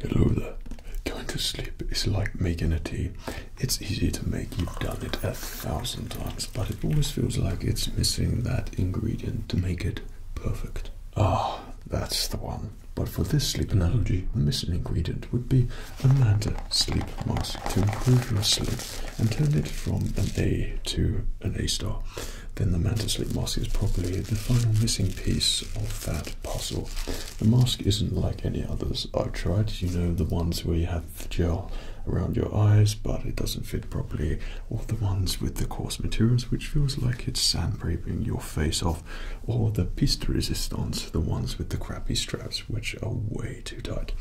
Hello there. Going to sleep is like making a tea. It's easy to make, you've done it a thousand times, but it always feels like it's missing that ingredient to make it perfect. Ah, oh, that's the one. But for this sleep analogy, the missing ingredient would be a Manta sleep mask to improve your sleep and turn it from an A to an A star, then the Mantasleep mask is probably the final missing piece of that puzzle. The mask isn't like any others I've tried, you know, the ones where you have gel around your eyes but it doesn't fit properly, or the ones with the coarse materials which feels like it's sandpapering your face off, or the piece resistance, the ones with the crappy straps which are way too tight.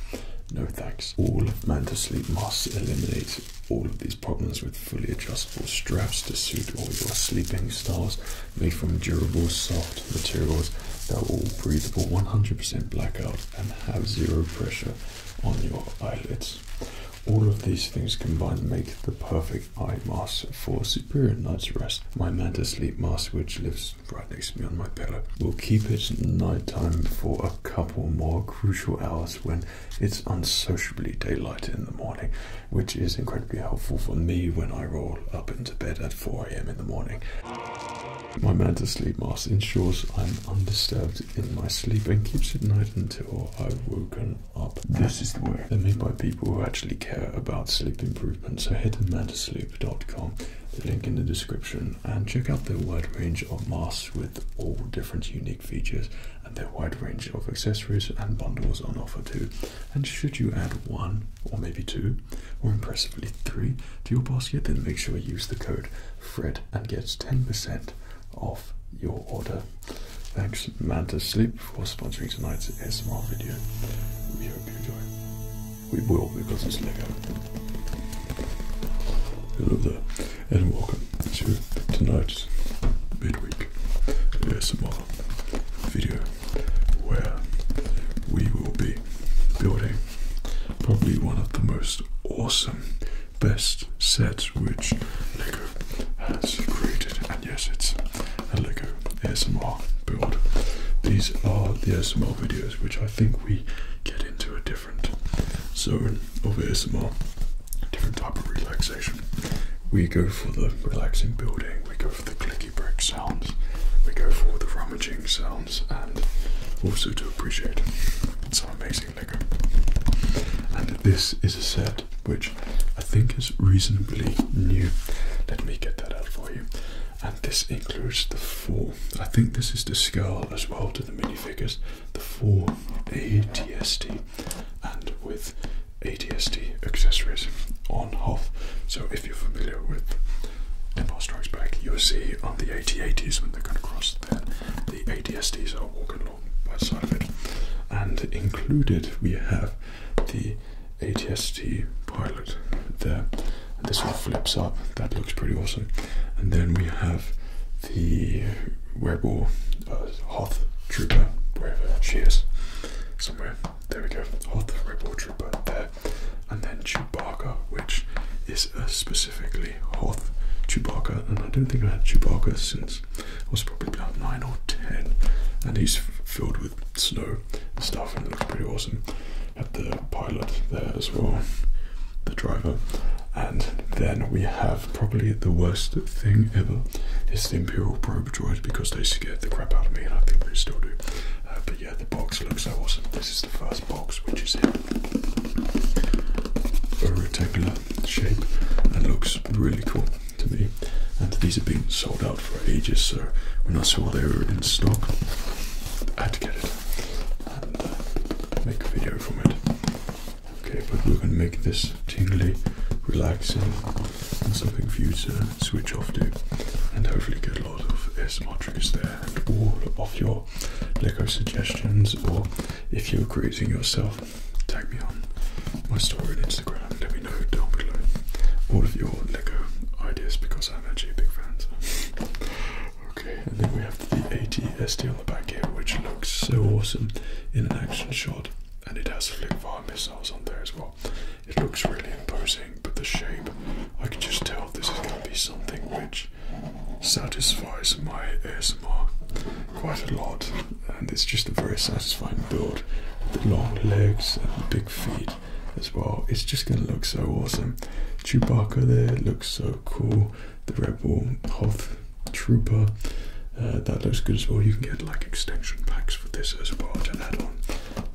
No thanks. All Mantasleep masks eliminate all of these problems with fully adjustable straps to suit all your sleeping styles, made from durable, soft materials that are all breathable 100% blackout and have zero pressure on your eyelids. All of these things combined make the perfect eye mask for superior night's rest. My Manta Sleep Mask, which lives right next to me on my pillow, will keep it nighttime for a couple more crucial hours when it's unsociably daylight in the morning, which is incredibly helpful for me when I roll up into bed at 4 a.m. in the morning. My Manta Sleep Mask ensures I'm undisturbed in my sleep and keeps it night until I've woken up. This is the way they're made by people who actually care about sleep improvement, so head to mantasleep.com, the link in the description, and check out their wide range of masks with all different unique features and their wide range of accessories and bundles on offer too. And should you add one or maybe two or impressively three to your basket, then make sure you use the code FRED and get 10% off your order. Thanks Mantis Sleep for sponsoring tonight's ASMR video. We hope you enjoy. We will because it's Lego. Hello there and welcome to tonight's midweek ASMR video where we will be building probably one of the most awesome best sets which Lego has created and yes it's a Lego ASMR build. These are the ASMR videos which I think we get into a different zone of ASMR different type of relaxation. We go for the relaxing building, we go for the clicky brick sounds, we go for the rummaging sounds, and also to appreciate some amazing Lego. And this is a set which I think is reasonably new. Let me get that out for you. And this includes the four. I think this is the skull as well to the minifigures the 4 ATSD, and with ATSD accessories on Hoth. So if you're familiar with Empire Strikes Back, you'll see on the AT-80s when they're going across cross there, the ADSTs are walking along by the side of it. And included we have the ATSD pilot there. this one flips up, that looks pretty awesome. And then we have the werewolf, uh, Hoth Trooper, wherever she is, somewhere. There we go, Hoth Rebel Trooper there. And then Chewbacca, which is a uh, specifically Hoth Chewbacca. And I don't think I had Chewbacca since I was probably about 9 or 10. And he's filled with snow and stuff, and looks pretty awesome. Had the pilot there as well the driver. And then we have probably the worst thing ever is the Imperial Probe Droid because they scare the crap out of me and I think they still do. Uh, but yeah, the box looks awesome. This is the first box, which is a rectangular shape and looks really cool to me. And these have been sold out for ages, so when I saw they were in stock, I had to get it and uh, make a video from it. Okay, but we're gonna make this tingly, relaxing, and something for you to switch off to, and hopefully get a lot of ASMR triggers there, and all of your Lego suggestions, or if you're creating yourself, tag me on my story on Instagram. Let me know down below all of your Lego ideas because I'm actually a big fan. okay, and then we have the AT ST on the back here, which looks so awesome in an action shot, and it has flip fire missiles on there as well. It looks really imposing, but the shape, I can just tell this is going to be something which satisfies my ASMR quite a lot, and it's just a very satisfying build. The long legs and the big feet as well. It's just going to look so awesome. Chewbacca there looks so cool the Rebel Hoth Trooper. Uh, that looks good as well. You can get like extension packs for this as well and add on.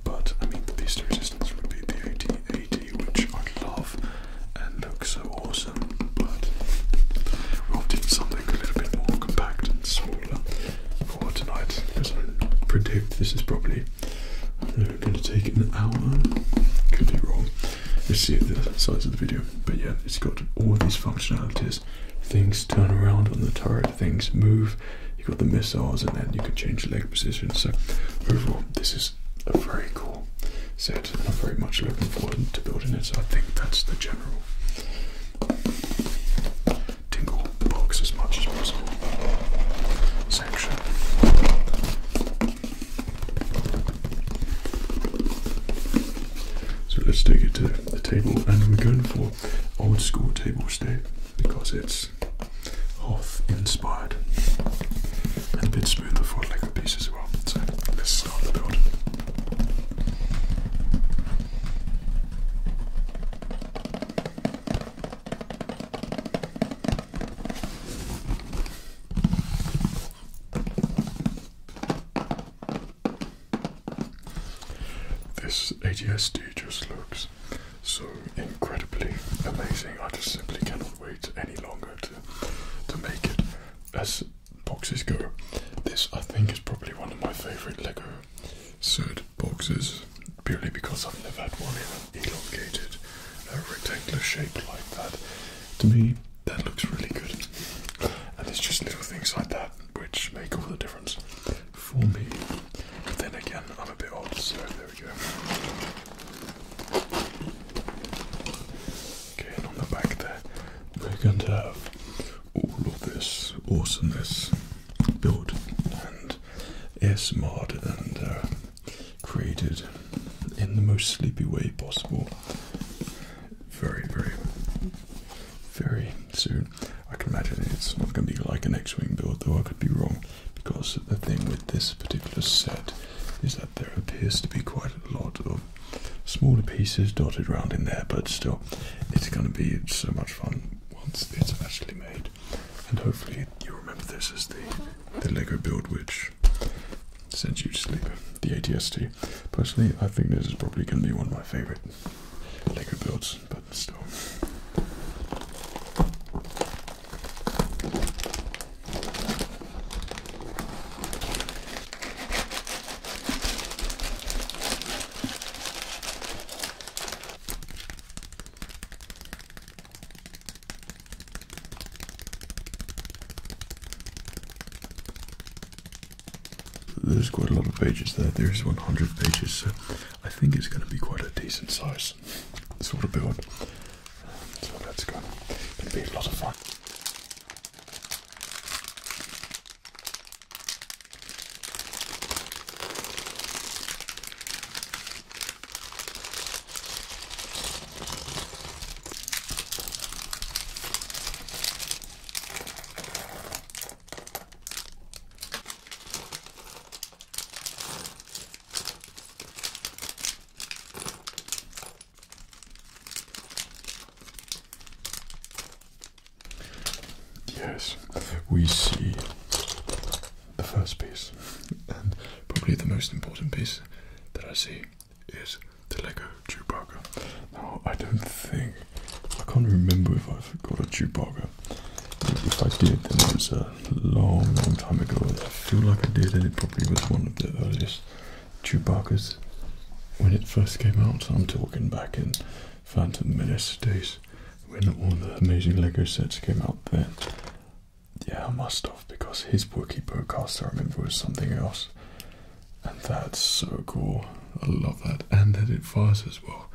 But I mean, the least resistance would be the 8080, which I love and looks so awesome. But we opted do something a little bit more compact and smaller for tonight because I predict this is probably going to take an hour. Could be wrong. You'll see the size of the video but yeah, it's got all these functionalities. Things turn around on the turret, things move. You've got the missiles, and then you can change the leg position. So, overall, this is a very cool set. I'm very much looking forward to building it. So, I think that's the general tingle box as much as possible section. So let's take it to the table, and we're going for old school table state because it's Hoth inspired and a bit smoother for a Lego piece as well. So let's start the build. This ATSD just looks so incredibly amazing. I just simply cannot wait any longer to to make it. As boxes go, this I think is probably one of my favourite Lego set boxes purely because I've never had one in an elongated, uh, rectangular shape like that. To me, that looks really good. And it's just little things like that which make all the difference for me. But then again, I'm a bit old, so there we go. Okay, and on the back there, we're going to have all of this awesomeness built and ASMR'd and uh, created in the most sleepy way possible very, very, very soon. I can imagine it's not going to be like an X-wing build, though I could be wrong, because the thing with this particular set is that there appears to be quite a lot of smaller pieces dotted around in there. But still, it's going to be so much fun once it's actually made, and hopefully you remember this as the the Lego build, which sends you to sleep. The ATST. Personally, I think this is probably going to be one of my favorite Lego builds, but still. There's quite a lot of pages there. There's 100 pages, so I think it's going to be quite a decent size sort of build. So let's go. It'll be a lot of fun. Yes, we see the first piece, and probably the most important piece that I see is the Lego Chewbacca. No, I don't think, I can't remember if I've got a Chewbacca. If I did, then it was a long, long time ago. I feel like I did, and it probably was one of the earliest Chewbacca's when it first came out. I'm talking back in Phantom Menace days when all the amazing Lego sets came out then. Yeah, I must have, because his Wookiee podcast I remember was something else. And that's so cool. I love that. And that it fires as well.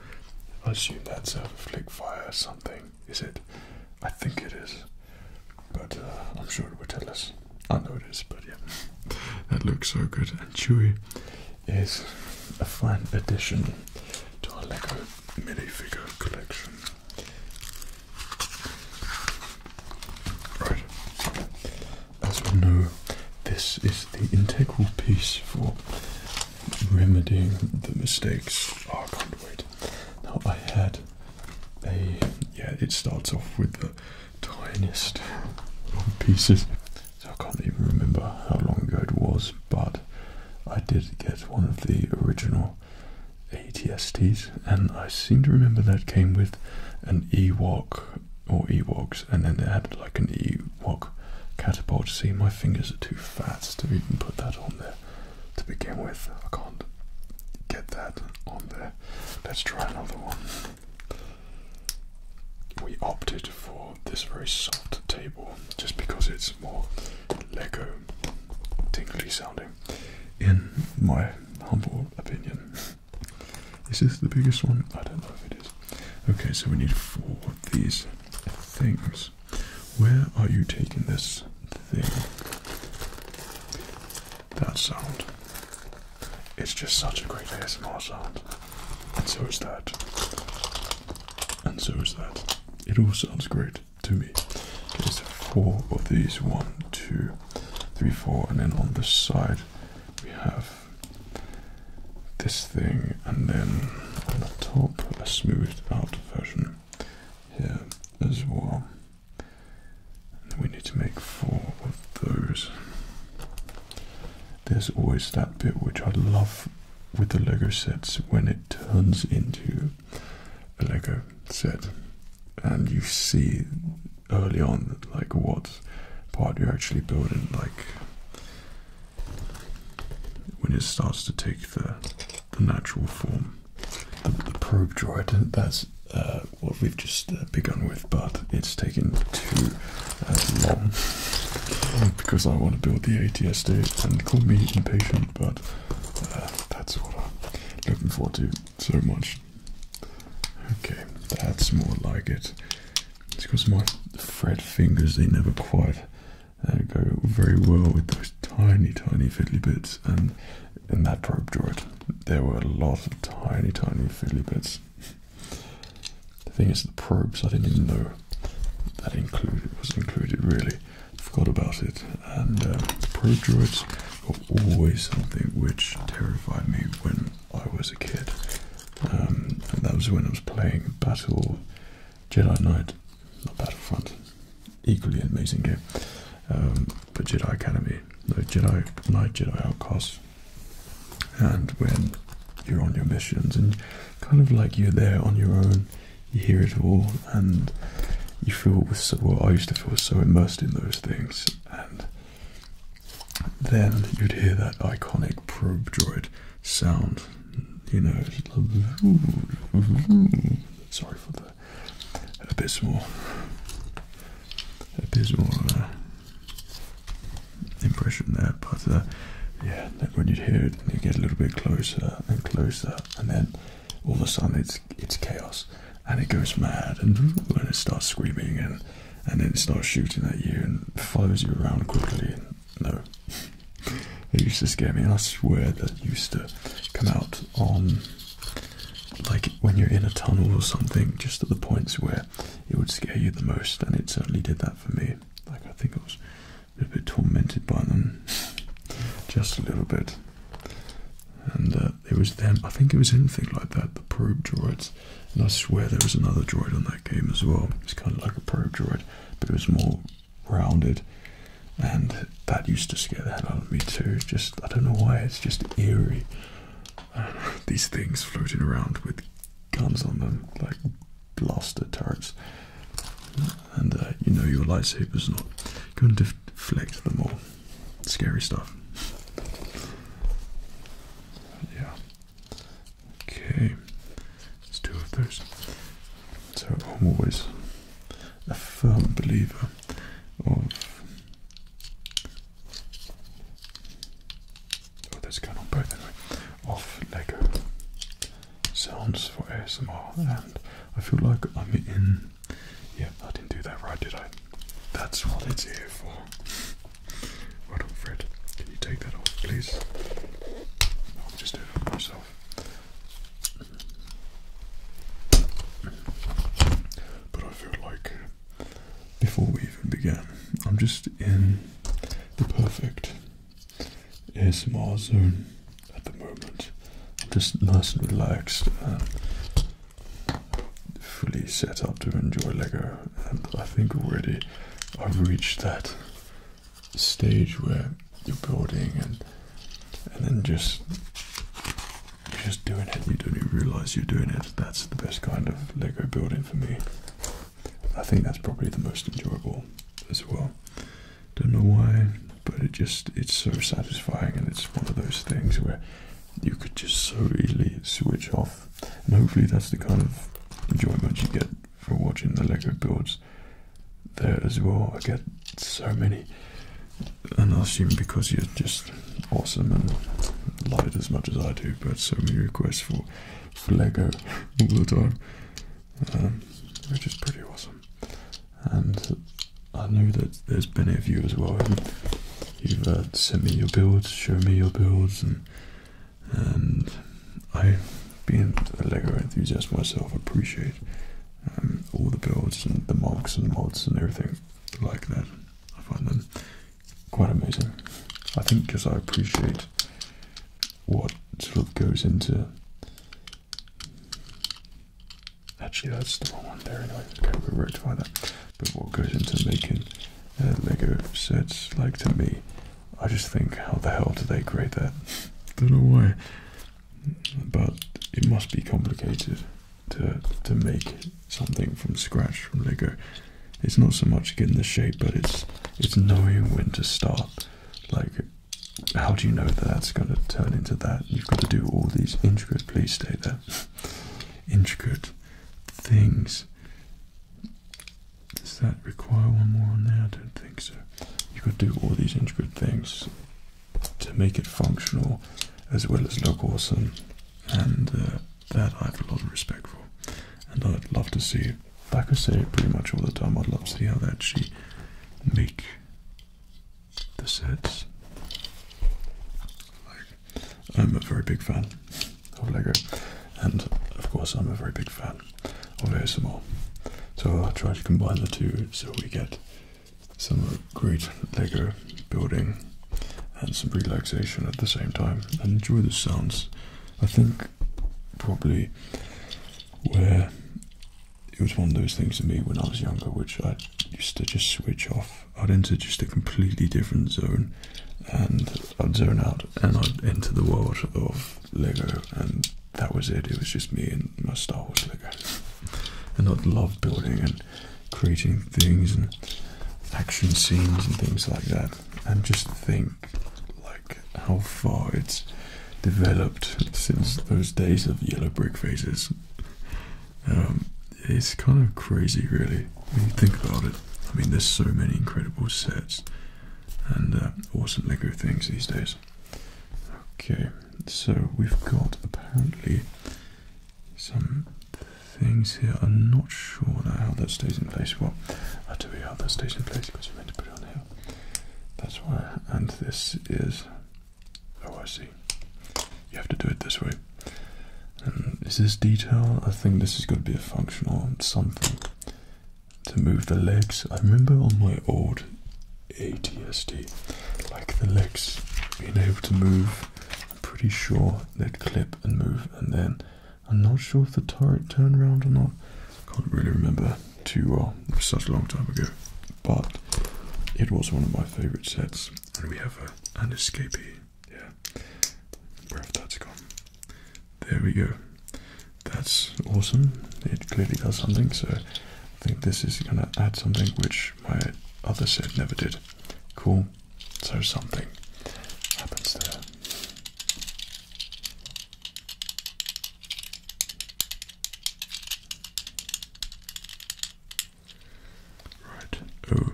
I assume that's out of flick fire or something. Is it? I think it is. But uh, I'm sure it will tell us. I know it is, but yeah. that looks so good. And Chewy is a fine addition to our Lego minifigure collection. Right as we know, this is the integral piece for remedying the mistakes. I can't wait. Now, I had a. Yeah, it starts off with the tiniest of pieces. So I can't even remember how long ago it was, but I did get one of the original ATSTs, and I seem to remember that came with an Ewok or Ewoks, and then they had like an Ewok catapult. See, my fingers are too fat to even put that on there to begin with. I can't get that on there. Let's try another one. We opted for this very soft table just because it's more Lego tingly sounding, in my humble opinion. Is this the biggest one? I don't know if it is. Okay, so we need four of these things. Where are you taking this thing? That sound. It's just such a great ASMR sound. And so is that. And so is that. It all sounds great to me. Okay, so four of these. One, two, three, four. And then on this side we have this thing, and then on the top, a smoothed out version here as well. we need to make four of those. There's always that bit which I love with the Lego sets when it turns into a Lego set and you see early on like what part you're actually building like when it starts to take the, natural form the, probe droid that's uh, what we've just uh, begun with but it's taken too uh, long because I want to build the ATS ATSD and call me impatient but that's what I'm looking forward to so much Okay, that's more like it. It's because my fret fingers, they never quite uh, go very well with those tiny, tiny fiddly bits. And in that probe droid, there were a lot of tiny, tiny fiddly bits. The thing is, the probes, I didn't even know that included was included really. Forgot about it. And uh, the probe droids were always something which terrified me when I was a kid. Um, and that was when I was playing Battle Jedi Knight, not Battlefront, equally amazing game. Um, but Jedi Academy, no Jedi Knight, Jedi Outcast. And when you're on your missions and kind of like you're there on your own, you hear it all and you feel so I used to feel so immersed in those things and then you'd hear that iconic probe droid sound. You know, sorry for the abyssal, abysmal uh, impression there, but uh, yeah, when you'd hear it, you get a little bit closer and closer, and then all of a sudden it's it's chaos, and it goes mad, and, and it starts screaming and and then it starts shooting at you and follows you around quickly. no, it used to scare me, I swear that used to come out on like when you're in a tunnel or something, just at the points where it would scare you the most, and it certainly did that for me. Like, I think I was a bit tormented by them, just a little bit. And uh, it was them, I think it was anything like that, the probe droids. And I swear there was another droid on that game as well. It's kind of like a probe droid, but it was more rounded. And that used to scare the hell out of me too. Just, I don't know why, it's just eerie. these things floating around with guns on them, like blaster turrets. And uh, you know your lightsaber's not going to deflect them all. Scary stuff. Yeah. Okay, it's two of those. So I'm always a firm believer of. Oh, there's going on both anyway. Of Lego sounds for ASMR, and I feel like I'm in. Yeah, I didn't do that right, did I? That's what it's here for. Well Fred. Can you take that off, please? I'll just do it myself. But I feel like uh, before we even begin, I'm just in the perfect ASMR zone at the moment. just nice and relaxed. Uh, fully set up to enjoy Lego, and I think already I've reached that stage where you're building and and then just just doing it. You don't even realize you're doing it. That's the best kind of Lego building for me. I think that's probably the most enjoyable as well. Don't know why, but it just it's so satisfying and it's one of those things where you could just so easily switch off and hopefully that's the kind of enjoyment you get for watching the Lego builds there as well. I get so many. And I assume because you're just awesome and love it as much as I do, but so many requests for, Lego all the time, um, which is pretty awesome. And I know that there's many of you as well. You've uh, sent me your builds, shown me your builds, and and I, being a Lego enthusiast myself, appreciate um, all the builds and the marks and mods and everything like that. I find them quite amazing. I think because I appreciate what sort of goes into. Actually, that's the wrong one there. Anyway, okay, we'll rectify that but what goes into making uh, Lego sets, like to me, I just think, how the hell do they create that? Don't know why, but it must be complicated to to make something from scratch from Lego. It's not so much getting the shape, but it's it's knowing when to stop. Like, how do you know that that's going to turn into that? You've got to do all these intricate. Please stay there. intricate things does that require one more on there? I don't think so. You've got to do all these intricate things to make it functional as well as look awesome and uh, that I have a lot of respect for and I'd love to see, like I say pretty much all the time, I'd love to see how that actually make the sets I'm a very big fan of Lego, and of course, I'm a very big fan of ASMR. So I'll try to combine the two so we get some great Lego building and some relaxation at the same time and enjoy the sounds. I think probably where it was one of those things to me when I was younger, which I used to just switch off. I'd enter just a completely different zone and I'd zone out and I'd enter the world of Lego and that was it. It was just me and my Star Wars Lego. And I'd love building and creating things and action scenes and things like that. And just think like how far it's developed since those days of yellow brick faces. Um, it's kind of crazy really when you think about it, I mean, there's so many incredible sets and uh, awesome Lego things these days. Okay, so we've got apparently some things here. I'm not sure how that stays in place. Well, I'll tell you how that stays in place because you meant to put it on here. That's why. And this is. Oh, I see. You have to do it this way. Um, is this detail? I think this is going to be a functional something to move the legs. I remember on my old ATSD, like the legs being able to move. I'm pretty sure they'd clip and move, and then I'm not sure if the turret turned around or not. Can't really remember too well. It was such a long time ago, but it was one of my favorite sets. And we have an escapee yeah, where have that gone? There we go. That's awesome. It clearly does something, so I think this is going to add something which my other set never did. Cool. So something happens there. Right. Oh,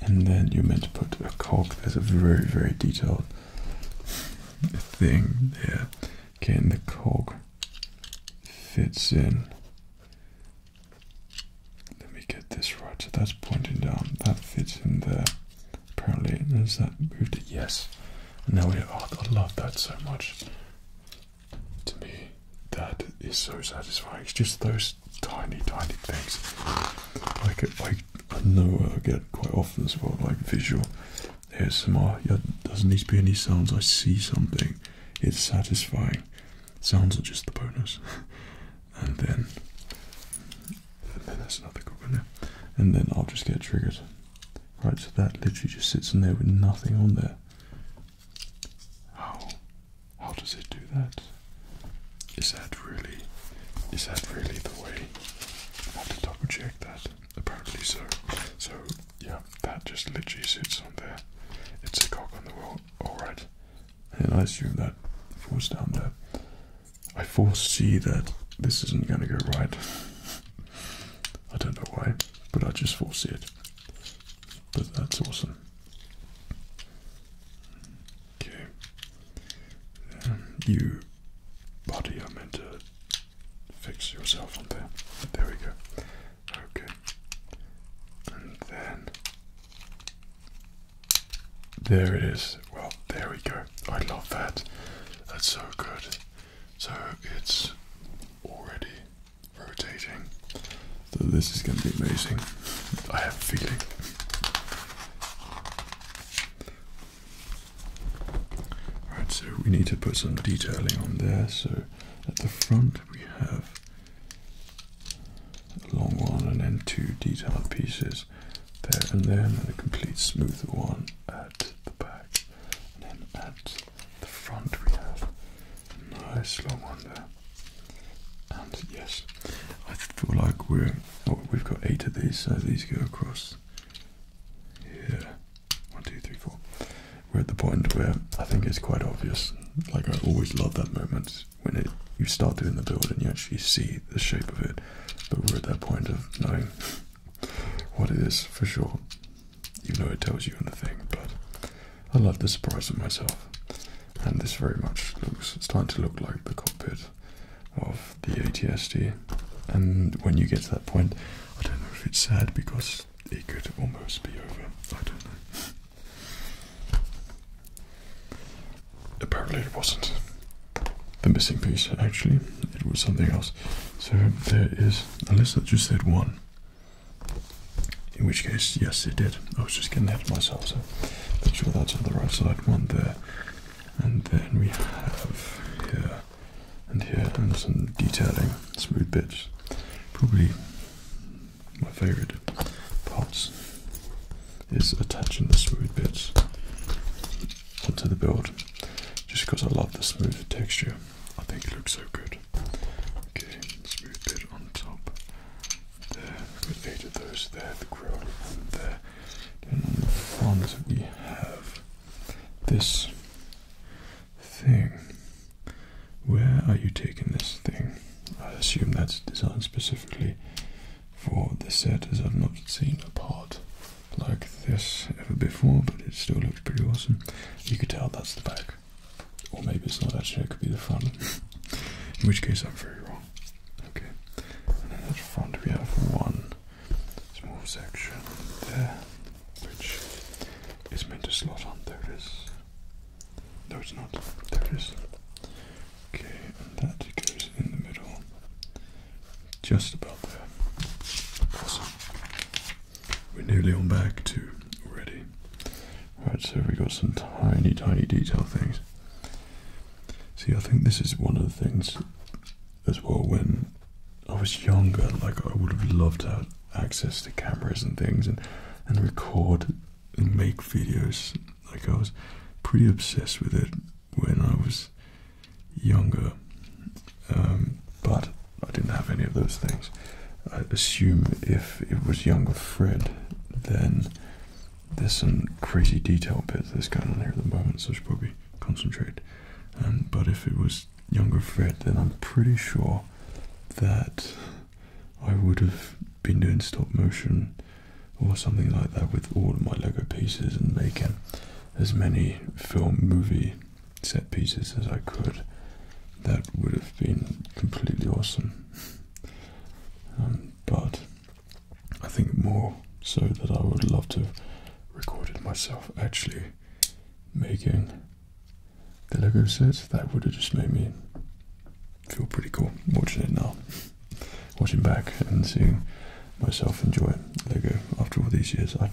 and then you're meant to put a cog. There's a very, very detailed thing there. Okay, and the cog fits in. Let me get this right. So that's pointing down. That fits in there. Apparently, is that moved it? Yes. And now we have, oh, I love that so much. To me, that is so satisfying. It's just those tiny, tiny things. Like, like I know I get quite often as well, like visual There's ASMR. Yeah, doesn't need to be any sounds. I see something, it's satisfying. Sounds are just the bonus, and then and then that's another good one. Yeah. And then I'll just get triggered. Right, so that literally just sits in there with nothing on there. How how does it do that? Is that really, is that really the way? I have to double check that. Apparently so. So yeah, that just literally sits on there. It's a cock on the wall. All right. And I assume that falls down there. I foresee that this isn't going to go right. I don't know why, but I just foresee it. But that's awesome. Okay. Um, you body are meant to fix yourself on there. There we go. Okay. And then there it is. Well, there we go. I love that. That's so good. So it's already rotating. So this is going to be amazing. I have feeling. Alright, so we need to put some detailing on there. So at the front we have a long one and then two detailed pieces there and there, and then a complete smooth one at the back. And then at the front we have a nice long one there. And yes, I feel like we're Oh, we've got eight of these, so these go across here. One, two, three, four. We're at the point where I think it's quite obvious. Like I always love that moment when it you start doing the build and you actually see the shape of it. But we're at that point of knowing what it is for sure. Even though it tells you nothing, but I love the surprise of myself. And this very much looks starting to look like the cockpit of the ATSD. And when you get to that point, I don't know if it's sad because it could almost be over. I don't know. Apparently, it wasn't the missing piece, actually, it was something else. So, there is, unless I just said one. In which case, yes, it did. I was just getting that myself, so make sure that's on the right side. One there, and then we have here and here and some detailing, smooth bits. Probably my favourite parts is attaching the smooth bits onto the build. Just because I love the smooth texture. I think it looks so good. Okay, smooth bit on top. There, we've those there, the grill and there. And on the front we have this thing. Where are you taking this thing? I assume that's designed specifically for the set as I've not seen a part like this ever before, but it still looks pretty awesome. You could tell that's the back. Or maybe it's not actually, it could be the front. In which case I'm very wrong. Okay. And the front we have one small section there, which is meant to slot on. There No, it's not. There it is. Okay, and that goes in the middle, just about there. Awesome. We're nearly on back to already. Right, so we got some tiny, tiny detail things. See, I think this is one of the things as well when I was younger, like I would have loved to have access to cameras and things and, and record and make videos. Like I was pretty obsessed with it when I was younger. Um, but I didn't have any of those things. I assume if it was younger Fred, then there's some crazy detail bits that's going on here at the moment, so I should probably concentrate. Um, but if it was younger Fred, then I'm pretty sure that I would have been doing stop motion or something like that with all of my Lego pieces and making as many film movie set pieces as I could. That would have been completely awesome. Um, but I think more so that I would love to record it myself actually making the Lego sets That would have just made me feel pretty cool watching it now. watching back and seeing myself enjoy Lego after all these years. I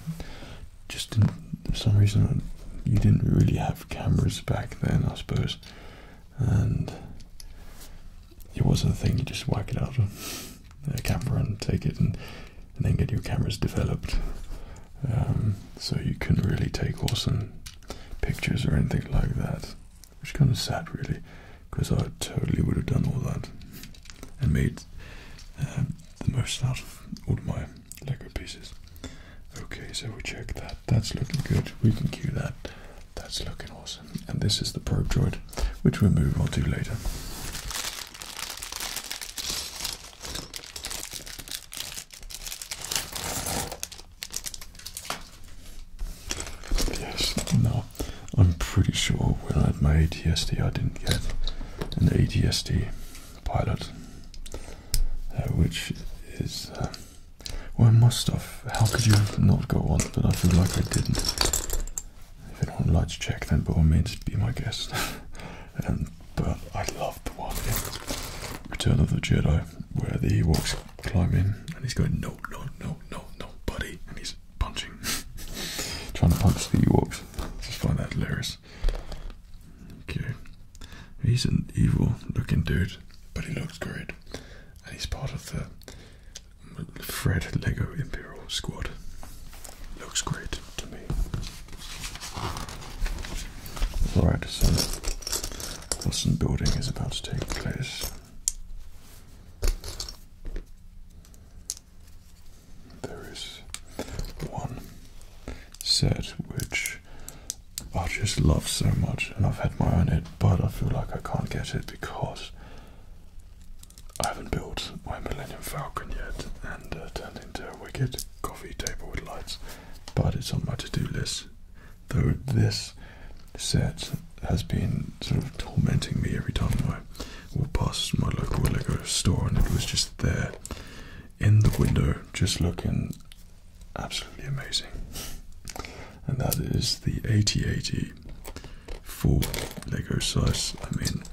just didn't, for some reason, you didn't really have cameras back then, I suppose. And it wasn't a thing you just whack it out of a camera and take it and, then get your cameras developed. Um, so you couldn't really take awesome pictures or anything like that, which kind of sad really, because I totally would have done all that and made um, the most out of all my Lego pieces. Okay, so we check that. That's looking good. We can cue that. That's looking awesome and this is the probe droid, which we'll move on to later. Yes, no, I'm pretty sure when I had my ATSD, I didn't get an ATSD pilot, uh, which is. Uh, I must have. How could you not go on? But I feel like I didn't. If anyone would like to check, then by all means, be my guest. um, but I love the one in Return of the Jedi where the Ewoks climb in and he's going, no, no, no, no, no, buddy. And he's punching, trying to punch the Ewoks. just find that hilarious. Okay. He's an evil looking dude, but he looks great. And he's part of the Fred Lego Imperial Squad looks great to me. Alright, so Wilson building is about to take place. There is one set which I just love so much, and I've had my own it, but I feel like I can't get it because I haven't built my Millennium Falcon yet and uh, turned into a wicked coffee table with lights, but it's on my to do list. Though this set has been sort of tormenting me every time I walk past my local Lego store, and it was just there in the window, just looking absolutely amazing. And that is the 8080 for Lego size. I mean,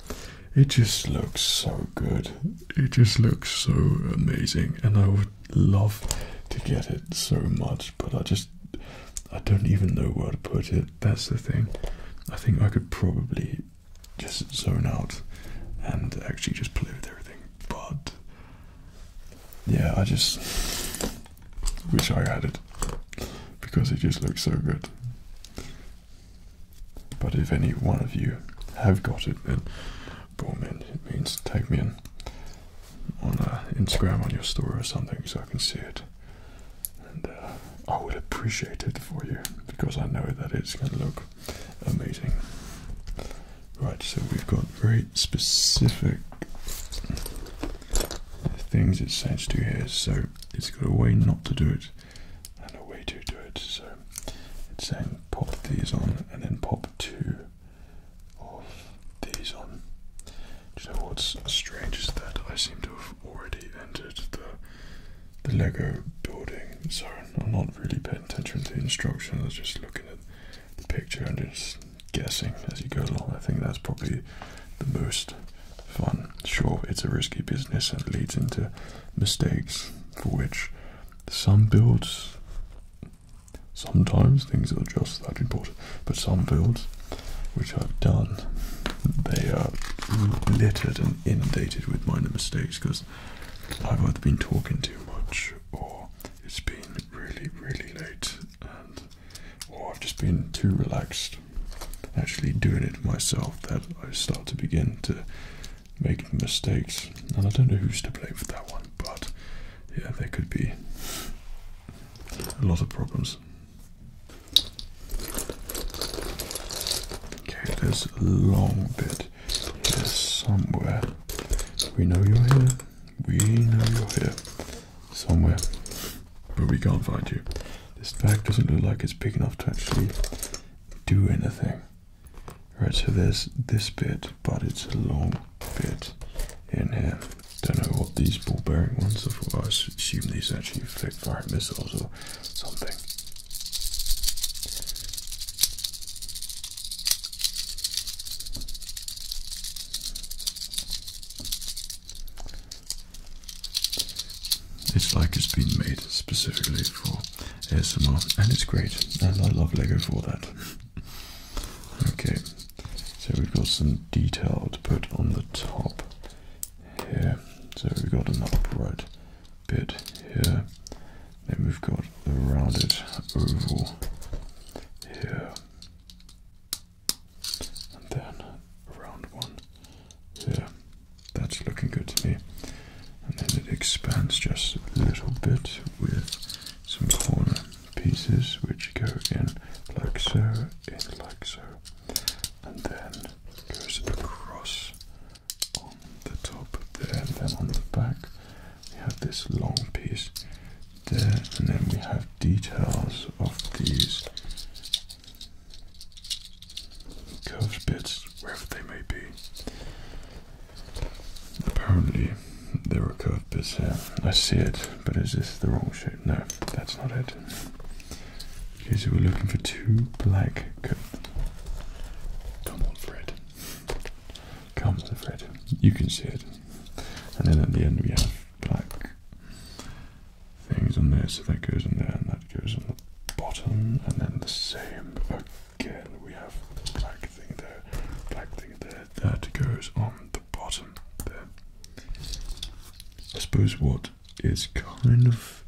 it just looks so good. It just looks so amazing, and I would love to get it so much, but I just I don't even know where to put it. That's the thing. I think I could probably just zone out and actually just play with everything, but yeah, I just wish I had it because it just looks so good. But if any one of you have got it, then boom in. It means tag me in on uh, Instagram on your story or something so I can see it. And uh, I would appreciate it for you because I know that it's going to look amazing. Right, so we've got very specific things it says to here. So it's got a way not to do it and a way to do it. So it's saying pop these on and then pop two of these on. Do what's strange is that I seem to have already entered the the Lego building So I'm not really paying attention to the instructions, I was just looking at the picture and just guessing as you go along. I think that's probably the most fun. Sure, it's a risky business and leads into mistakes for which some builds sometimes things are just that important, but some builds which I've done they are littered and inundated with minor mistakes because I've either been talking too much or it's been really, really late and or oh, I've just been too relaxed actually doing it myself that I start to begin to make mistakes. And I don't know who's to blame for that one, but yeah, there could be a lot of problems. Okay, there's a long bit here somewhere. We know you're here. We know you're here. Somewhere but we can't find you. This bag doesn't look like it's big enough to actually do anything. Right, so there's this bit, but it's a long bit in here. Don't know what these ball bearing ones are for. I assume these actually flick fire missiles or something. It's like it's been made specifically for SMR, and it's great, and I love Lego for that. okay, so we've got some detail to put on the top here. So we've got an upright bit here, then we've got a rounded oval here and then round one Yeah, That's looking good to me. And then it expands just a little bit with some corner pieces which go in like so, in like so, and then goes across on the top there, and then on the back we have this long piece there, and then we have details of these curved bits, wherever they may be. Apparently, there are curved bits here. I see it, but is this the wrong shape? No, that's not it. Okay, so we're looking for two black curved. Come on, Fred. Come on, Fred. You can see it. And then at the end, we have black things on there. So that goes in there and that goes on the bottom. And then the same again. We have black thing there, black thing there. That goes on the bottom there. I suppose what is kind of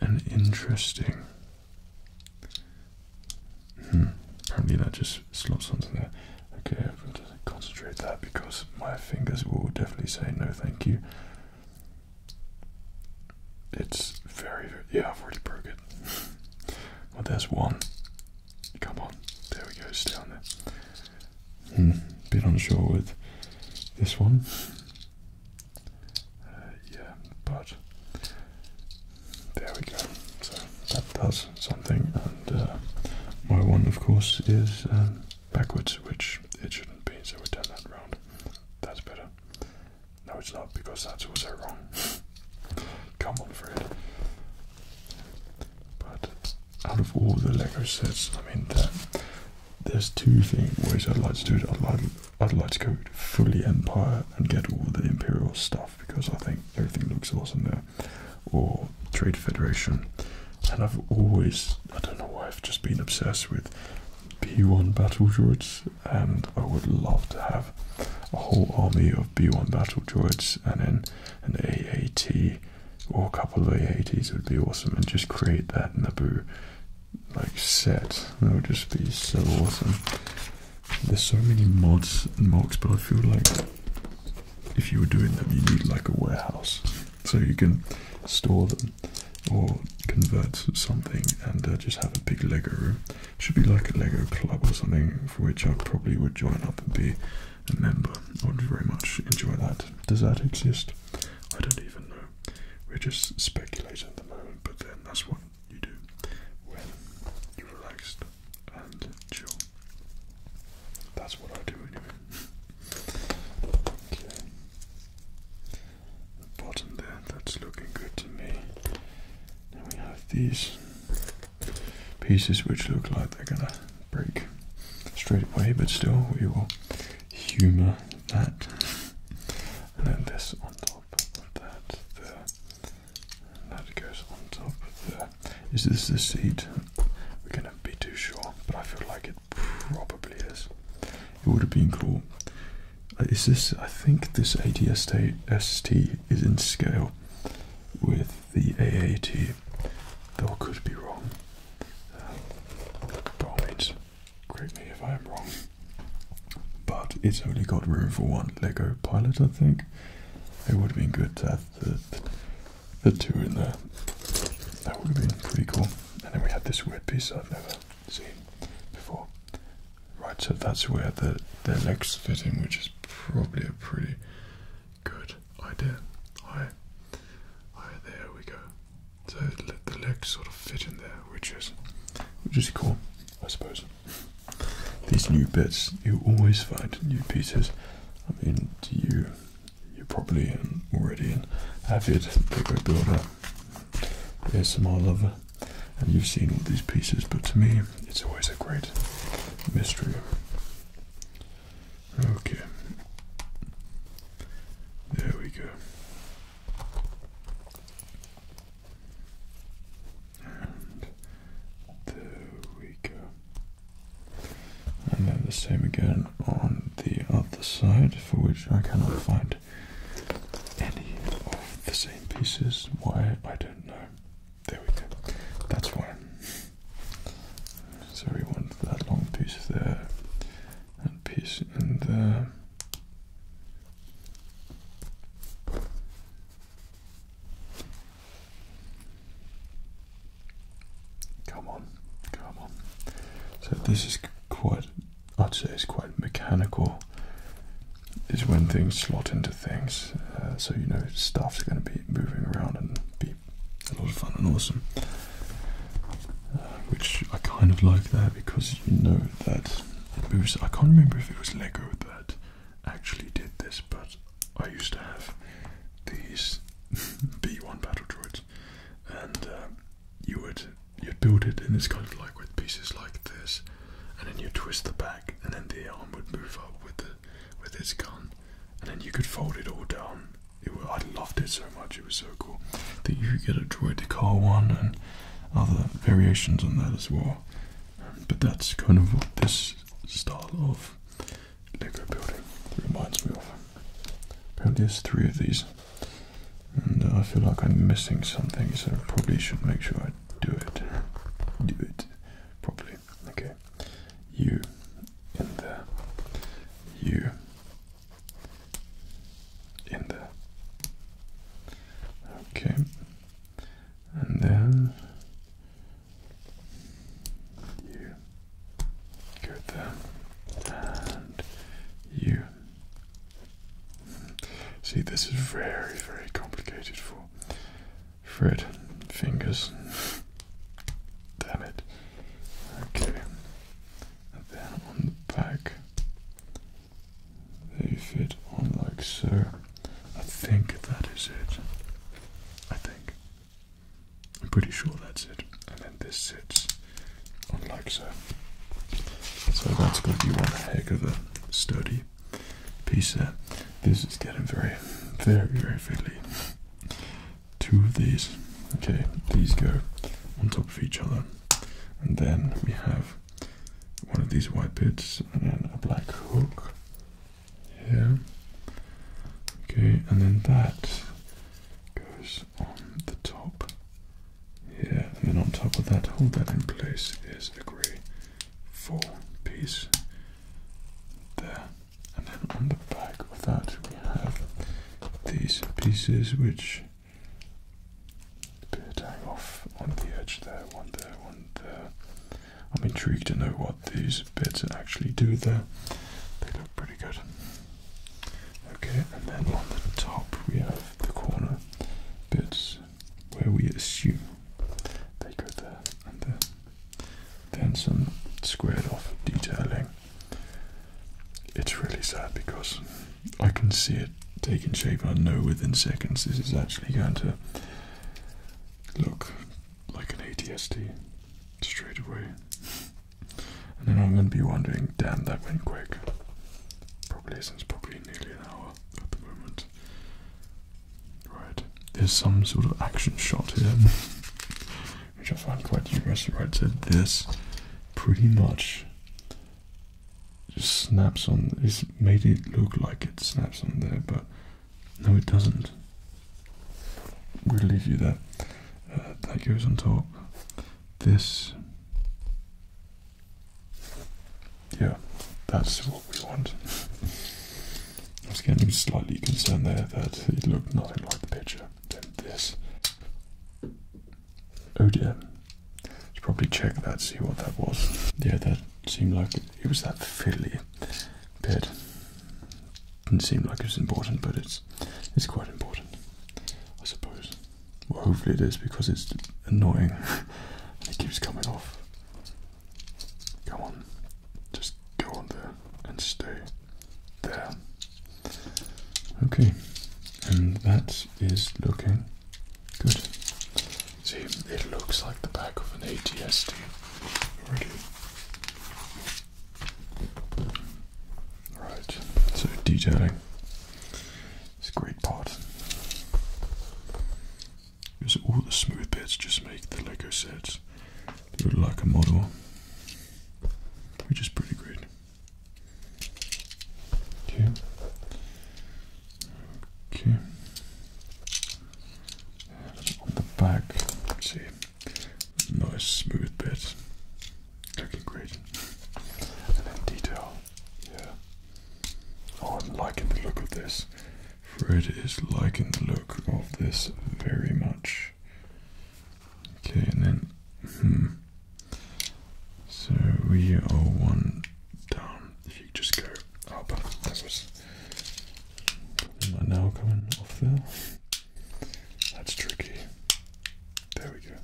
an interesting. Hmm, apparently that just slots onto there. Okay, I've got to concentrate that because my fingers will definitely say no thank you. It's very, very yeah, I've already broke it. well, there's one. Come on, there we go, stay on there. Hmm. bit unsure with this one. Uh, yeah, but there we go. So that does something, and uh, my one, of course, is um, backwards, which it shouldn't be, so we turn that round. That's better. No, it's not, because that's also wrong. Come on, Fred. But out of all the Lego sets, I mean, there's two thing ways I'd like to do it. I'd like, I'd like to go fully Empire and get all the Imperial stuff because I think everything looks awesome there. Or Trade Federation. And I've always, I don't know why, I've just been obsessed with B1 battle droids, and I would love to have a whole army of B1 battle droids and then an AAT or a couple of AATs would be awesome, and just create that Naboo like set. That would just be so awesome. There's so many mods and mods, but I feel like if you were doing them, you need like a warehouse so you can store them or convert something and uh, just have a big Lego room. Should be like a Lego club or something for which I probably would join up and be a member. I would very much enjoy that. Does that exist? I don't even know. We're just speculating at the moment, but then that's what you do when you're relaxed and chill. That's what I do anyway. okay the bottom there. That's looking good to me. Then we have these pieces which look like they're gonna break straight away, but still we will humour that. And then this on top of that there. And that goes on top of there. Is this the seat? We're gonna be too sure, but I feel like it probably is. It would have been cool. Uh, is this? I think this ATST is in scale with the AAT. Though could be wrong. Um, by all correct me if I am wrong. But it's only got room for one Lego pilot, I think. It would have been good to have the two in there. That would have been pretty cool and then we had this weird piece I've never seen before. Right, so that's where the their legs fit in, which is probably a pretty good idea. Hi, hi, there we go. So let the legs sort of fit in there, which is which is cool, I suppose. These new bits, you always find new pieces. I mean, do you you're probably already an avid Lego builder, ASMR lover, and you've seen all these pieces, but to me, it's always a great mystery. Okay, there we go. And there we go. And then the same again on the other side, for which I cannot find any of the same pieces. Why? I don't know. There we go. That's one. So we want that long piece there and piece in there. Come on, come on. So this is quite I'd say is quite mechanical is when things slot into things. Uh, so you know stuff's going to be moving around and be a lot of fun and awesome. Uh, which I kind of like that because you know that I can't remember if it was Lego that actually did this, but I used to have these B1 battle droids and um, you would you'd build it, in this kind of like with pieces like this, and then you twist the back, and then the arm would move up with the with its gun, and then you could fold it all down. I loved it so much; it was so cool that you could get a droid to car one and other variations on that as well. Um, but that's kind of what this style of Lego building reminds me of. Apparently, there's three of these. And I feel like I'm missing something, so I probably should make sure I do it. Do it properly. Okay. You in there. You in there. Okay. And then you go there. And you See, this is very, very complicated for Fred fingers. Damn it. Okay. And then on the back, they fit on like so. I think that is it. I think. I'm pretty sure that's it. And then this sits like so. So that's going to be one heck of a sturdy piece there. This is getting very, very, very fiddly. Two of these, okay, these go on top of each other, and then we have one of these white bits and then a black hook here. Okay, and then that goes on the top here, and then on top of that, hold that in place, is a grey four piece there. And then on the back of that, we have these pieces which hang off on the edge there, one there, one there. I'm intrigued to know what these bits actually do there. They look pretty good. Okay, and then on the top we have the corner bits where we assume they go there and there. Then some squared off detailing. It's really sad because I can see it taking shape. I know within seconds this is actually going to look like an ATSD straight away. And then I'm going to be wondering, damn, that went quick. Probably since probably nearly an hour at the moment. Right, there's some sort of action shot here, which I find quite humorous. Right, so this pretty much just snaps on. It's made it look like it snaps on there, but no, it doesn't. We'll leave you there. Uh, that goes on top this. Yeah, that's what we want. I was getting slightly concerned there that it looked nothing like the picture. this. Oh dear. Should probably check that, see what that was. Yeah, that seemed like it, it was that fiddly bit. Didn't seem like it was important, but it's it's quite important, I suppose. Well, hopefully it is because it's annoying it keeps coming off. Come on, just go on there and stay there. Okay, and that is looking good. See, it looks like the back of an ATSD already. Right, so detailing. It's a great part. Because all the smooth bits just make the Lego sets look like a model, which is pretty great. Okay. Okay. on the back, see, nice smooth bit. Looking great. and then detail. Yeah. Oh, I'm liking the look of this. Fred is liking the look of this very much. Okay, and then. Hmm. So we are one down. If you just go up, that now coming off there? That's tricky. There we go.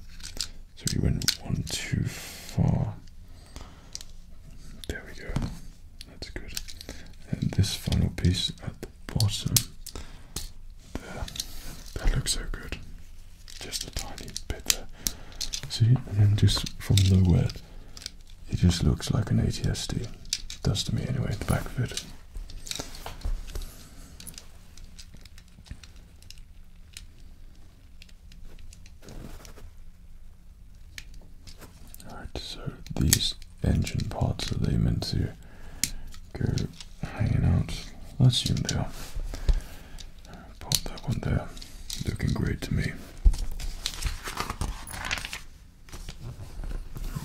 So we went one too far. There we go. That's good. And this final piece at the bottom. There. That looks so good. Just a tiny bit there. See? And just from nowhere, it just looks like an ATSD. does to me anyway, the back of it. Alright, so these engine parts, are they meant to go hanging out? Let's see them are. Pop that one there. Looking great to me.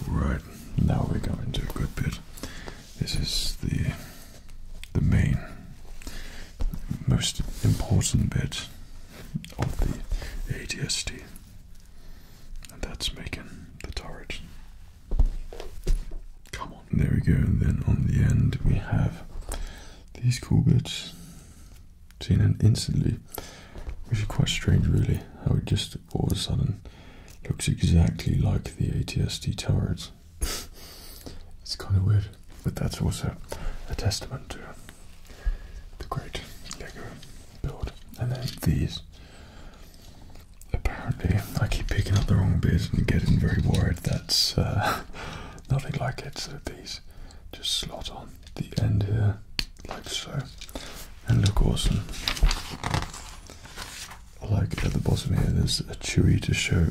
Alright, now we're going to a good bit. This is the the main, most important bit of the ADST, and that's making the turret. Come on, there we go. And then on the end we have these cool bits. Seen and instantly, which is quite strange, really, how it just all of a sudden looks exactly like the ATSD turret it's kind of weird, but that's also a testament to the great Lego build. And then these. Apparently, I keep picking up the wrong bits and getting very worried. That's uh, nothing like it. So these just slot on the end here, like so, and look awesome. like at the bottom here. There's a chewy to show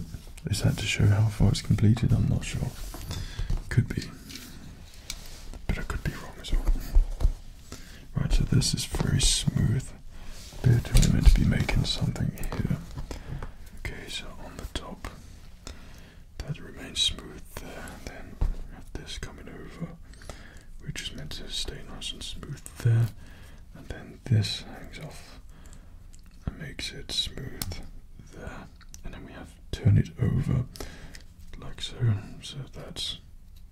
is that to show how far it's completed? I'm not sure. Could be. But I could be wrong as well. Right, so this is very smooth. They're are meant to be making something here. Okay, so on the top that remains smooth there. Then this coming over, which is meant to stay nice and smooth there. And then this hangs off and makes it smooth there. And then we have turn it over like so, so that's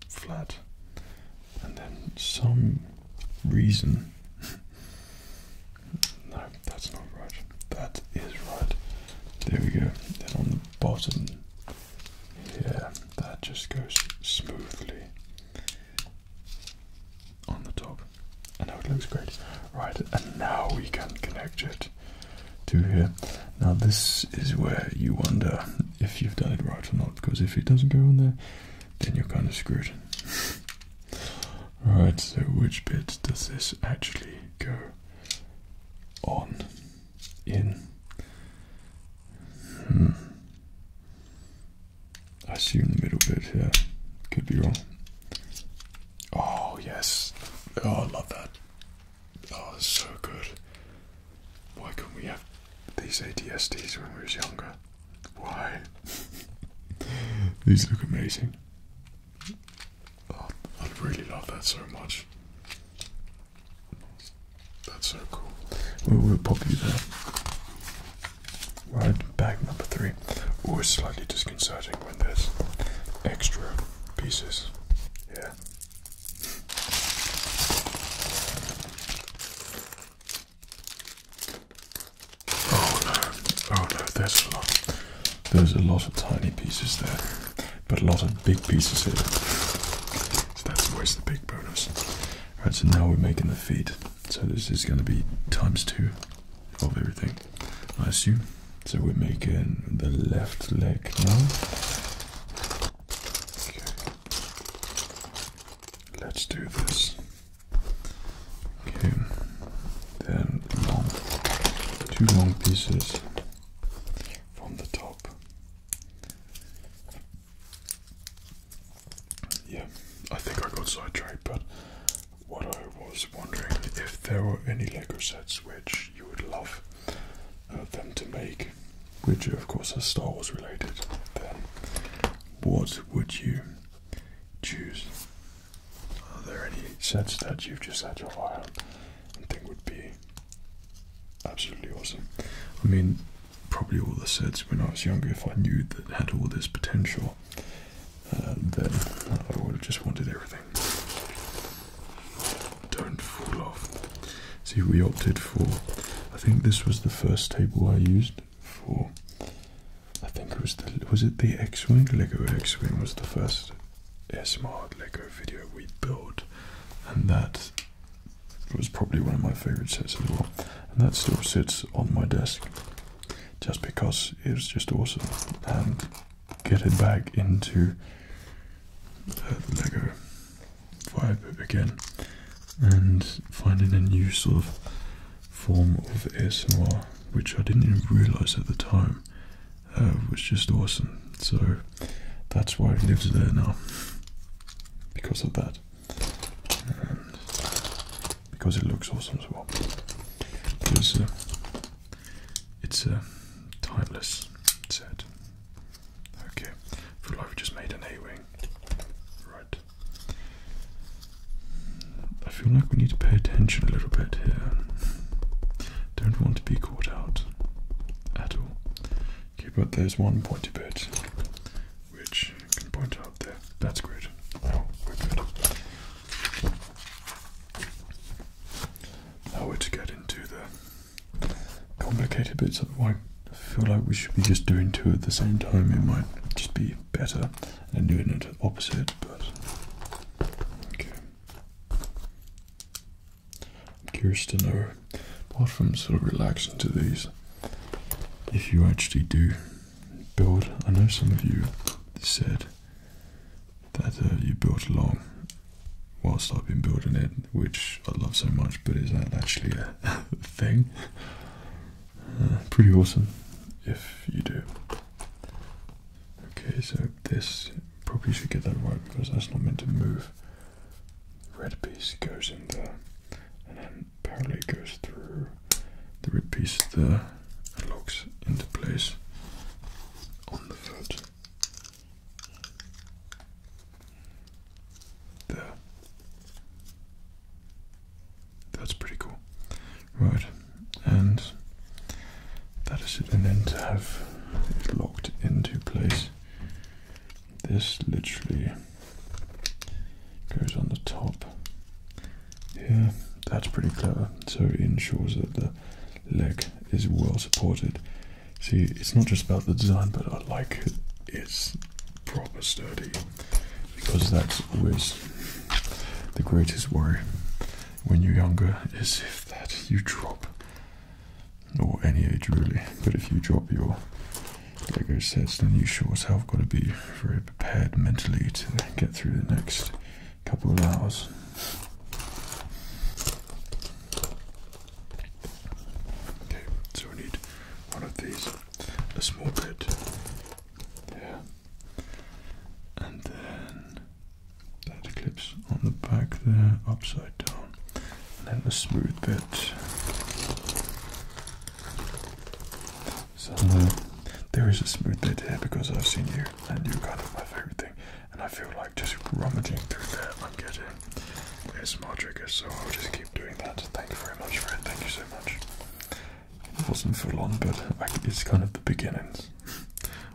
flat. And then some reason. no, that's not right. That is right. There we go. Then on the bottom here, that just goes smoothly on the top. And now it looks great. Right, and now we can connect it to here. Now this is where you wonder if you've done it right or not, because if it doesn't go in there, then you're kind of screwed. right, so which bit does this actually go on in? Hmm. I see you in the middle bit here. Could be wrong. Oh, yes. Oh, I love that. Oh, it's so good. Why couldn't we have these ADSDs when we was younger? Why? these look amazing. Oh, I really love that so much. That's so cool. we'll pop you there. Right, bag number three. Always slightly disconcerting when there's extra pieces. Yeah. Oh no, oh no, there's a lot. There's a lot of tiny pieces there, but a lot of big pieces here. So that's always the big bonus. Right, so now we're making the feet. So this is going to be times two of everything, I assume. So we're making the left leg now. Let's do this. Okay. Then long, two long pieces from the top. Yeah, I think I got sidetracked, but what I was wondering if there were any Lego sets which you would love uh, them to make, which of course are Star Wars related, then what would you choose? Are there any sets that you've just had your eye on and think would be absolutely awesome? I mean, probably all the sets when I was younger, if I knew that had all this potential, um, then I would have just wanted everything. Don't fall off. See, we opted for. I think this was the first table I used for. I think it was the was it the X-wing Lego X-wing was the first SMart Lego video we built, and that was probably one of my favourite sets of all. And that still sits on my desk just because it was just awesome and get it back into uh, the Lego vibe again and finding a new sort of form of ASMR which I didn't even realize at the time uh, was just awesome so that's why it lives there now because of that because it looks awesome as well. Because uh, it's a uh, timeless set. Okay, for like we just made an A-wing, right? I feel like we need to pay attention a little bit here. Don't want to be caught out at all. Okay, but there's one pointy bit which you can point out there. That's great. Oh, we good. Now we're to get into the complicated bits I feel like we should be just doing two at the same time. It might just be better than doing it opposite, but okay. I'm curious to know, apart from sort of relaxing to these, if you actually do build. I know some of you said that uh, you built along whilst I've been building it, which I love so much, but is that actually a thing? Uh, pretty awesome if you do. Okay, so this probably should get that right because that's not meant to move. Red piece goes in there, and then barely goes through the piece there and locks into place on the foot. There. That's pretty cool. Right, and that is it. And then to have it locked into place, this literally goes on the top yeah, that's pretty clever. So it ensures that the leg is well supported. See, it's not just about the design, but I like it. it's proper sturdy because that's always the greatest worry when you're younger is if that you drop or any age really but if you drop your lego sets then you sure as hell got to be very prepared mentally to get through the next couple of hours. Okay, so we need one of these, a small bit there, and then that clips on the back there, upside down, then the smooth bit. So there is a smooth bit here because I've seen you and you're kind of my favorite thing. And I feel like just rummaging through there, I'm getting ASMR triggers, so I'll just keep doing that. Thank you very much, friend. Thank you so much. It wasn't for long, but it's kind of the beginnings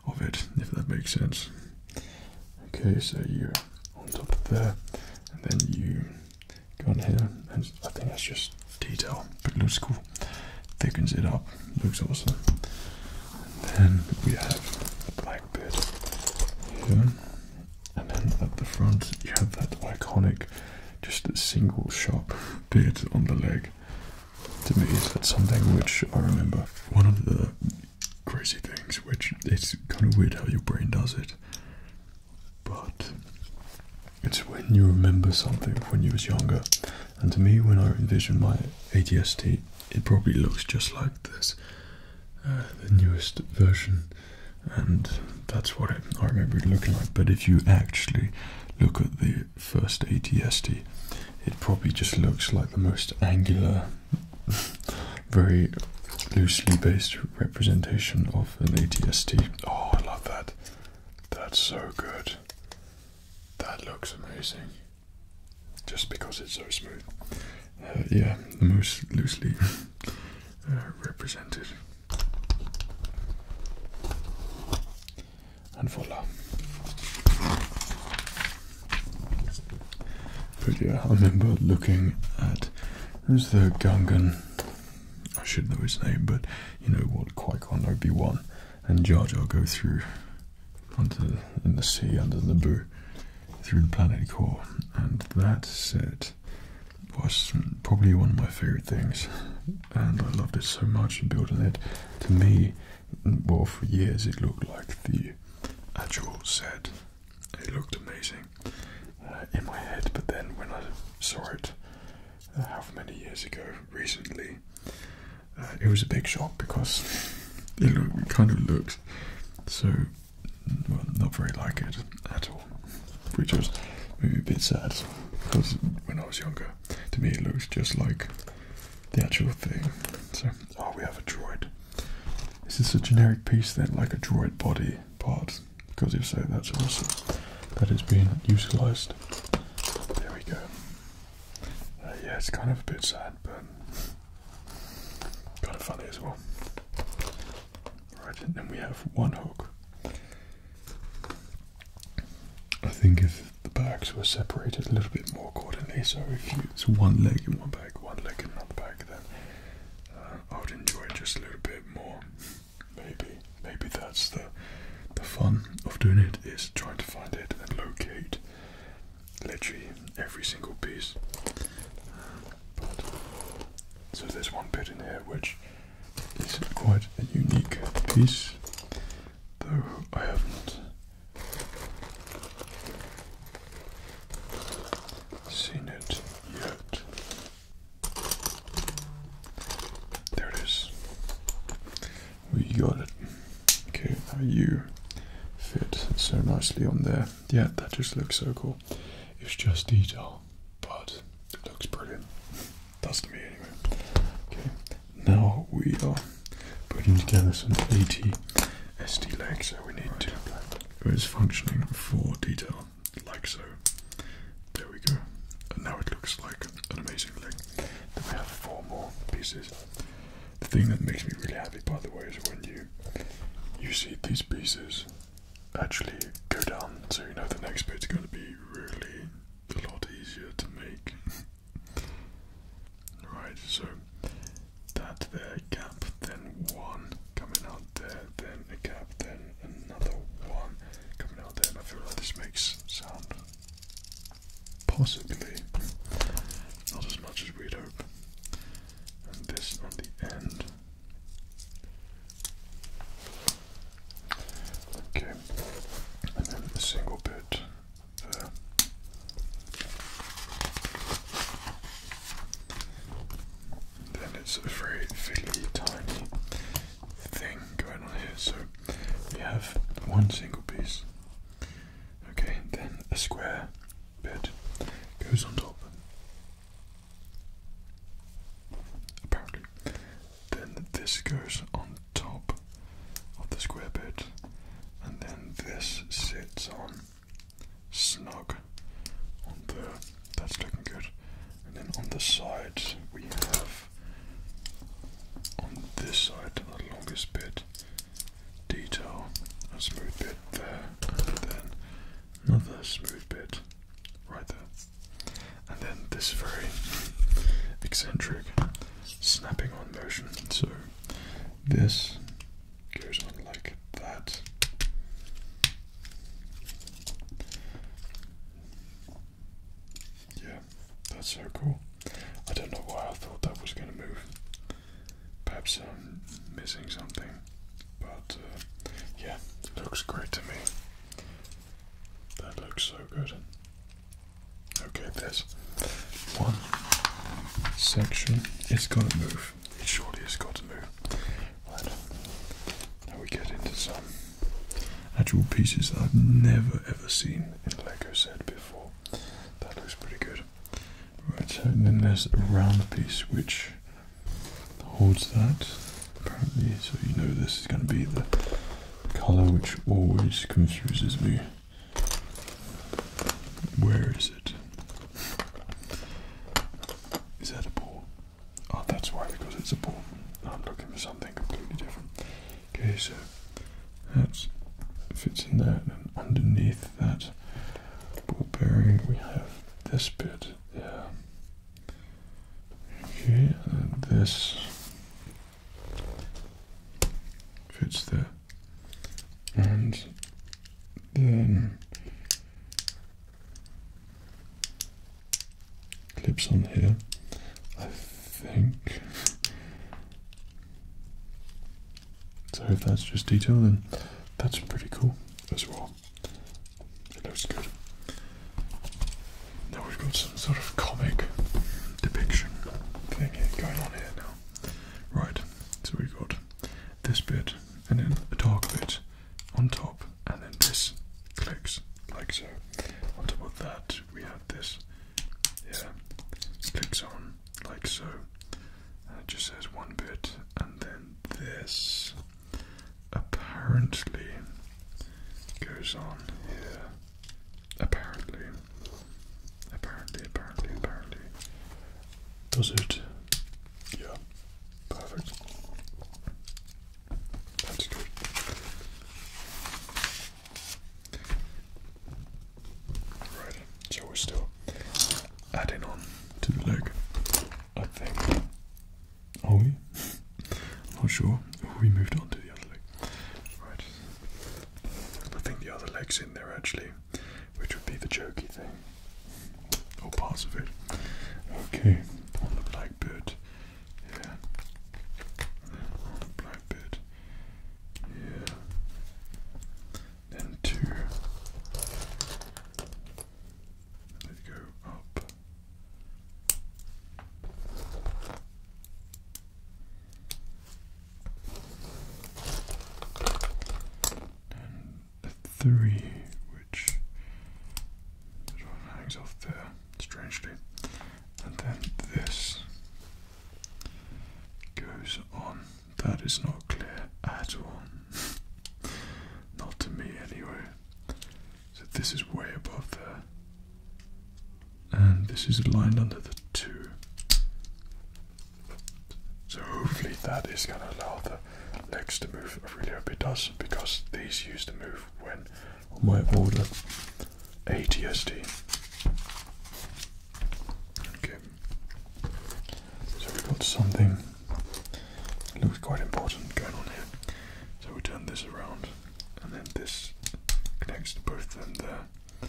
of it, if that makes sense. Okay, so you're on top of there, and then you go in here, and I think that's just detail, but looks cool. Thickens it up, looks awesome. And then we have a black bit and then at the front you have that iconic, just a single sharp bit on the leg. To me, that's something which I remember. One of the crazy things, which it's kind of weird how your brain does it, but it's when you remember something when you was younger and to me, when I envision my ATST, it probably looks just like this, uh, the newest version, and that's what it, I remember it looking like. But if you actually look at the first ATST, it probably just looks like the most angular, very loosely based representation of an ATST. Oh, I love that. That's so good. That looks amazing. Just because it's so smooth. Uh, yeah, the most loosely uh, represented. And voila. But yeah, I remember looking at who's the Gungan. I should know his name, but you know what? Qui Gon Obi Wan and Jar Jar go through onto in the sea under the through the planet core, and that set was probably one of my favorite things, and I loved it so much. And building it to me, well, for years it looked like the actual set. It looked amazing uh, in my head, but then when I saw it, uh, half how many years ago, recently, uh, it was a big shock because it, kind of looks so not very like it at all, which was maybe a bit sad because when I was younger, to me it looks just like the actual thing. So, oh, we have a droid. Is this a generic piece then, like a droid body part? Because if so, that's awesome. has been utilized. There we go. Uh, yeah, it's kind of a bit sad, but kind of funny as well. Right, and then we have one hook. I think if the bags were separated a little bit more accordingly, so if it's one leg in one bag, one leg in another bag, then uh, I would enjoy it just a little bit more. Maybe, maybe that's the the fun of doing it is trying to find it and locate literally every single piece. so there's one bit in here which is quite a unique piece, though I haven't seen it yet. There it is. We got it. Okay, now you fit so nicely on there. Yeah, that just looks so cool. It's just detail, but it looks brilliant. Does to me anyway. Okay, now we are putting together some AT SD legs, so we need right. to it is functioning for detail, like so. There we go. And now it looks like an amazing leg. Then we have four more pieces. The thing that makes me really happy, by the way, is when you you see these pieces actually go down, so you know the next bit is going to be really a lot easier to make. right, so that there gap, then one coming out there, then a gap, then another one coming out there. And I feel like this makes sound Possibly. Not as much as we'd hope. And this on the end. Okay. And then a single bit then it's a very fiddly, tiny thing going on here. So we have one single piece. Okay, then a square bit goes on top. Apparently. Then this goes on top of the square bit, and then this sits on snug on there. That's looking good. And then on the sides we have on this side the longest bit detail, a smooth bit there, then another smooth bit right there, and then this very eccentric snapping on motion. So this goes on like that. Yeah, that's so cool. I don't know why I thought that was going to move. Perhaps I'm missing something, but uh, yeah, looks great to me. That looks so good. Okay, this one section is going to move. It surely has got to move. Right, now we get into some actual pieces that I've never ever seen in Lego set before. That looks pretty good. Right, so then there's a round piece which holds that, apparently, so you know this is going to be the colour which always confuses me. Where is it? Is that a ball? Oh, that's why, because it's a ball. Ah, I'm looking for something completely different. Okay, so that fits in there, and underneath that ball bearing, we have this bit there. Okay, and this fits there, and then clips on here. I think so if that's just detail, then that's pretty cool as well. It looks good. Now we've got some sort of comic depiction thing going on here now. Right, so we've got this bit and then a dark bit on top, and then this clicks like so. On top of that, we have about this. Yeah, clicks on like so. And uh, it just says one bit, and then this apparently goes on here. Apparently, apparently, apparently, apparently. Does it? Yeah, perfect. That's good. Right, so we're still adding on to the leg, I think. Are we? not sure. we moved on to the other leg. Right. I think the other leg's in there actually, which would be the jokey thing. Or parts of it. Okay, on the black Yeah. On the black yeah. Then two. They go And a three, which hangs off there, strangely. And then this goes on. That is not clear at all. not to me, anyway. So this is way above there. And this is lined under the 2. So hopefully that is going to allow the legs to move. I really hope it does because these used to move when on my older ATSD. Okay. So we have got something looks quite important going on here. So we turn this around and then this connects to both of them there.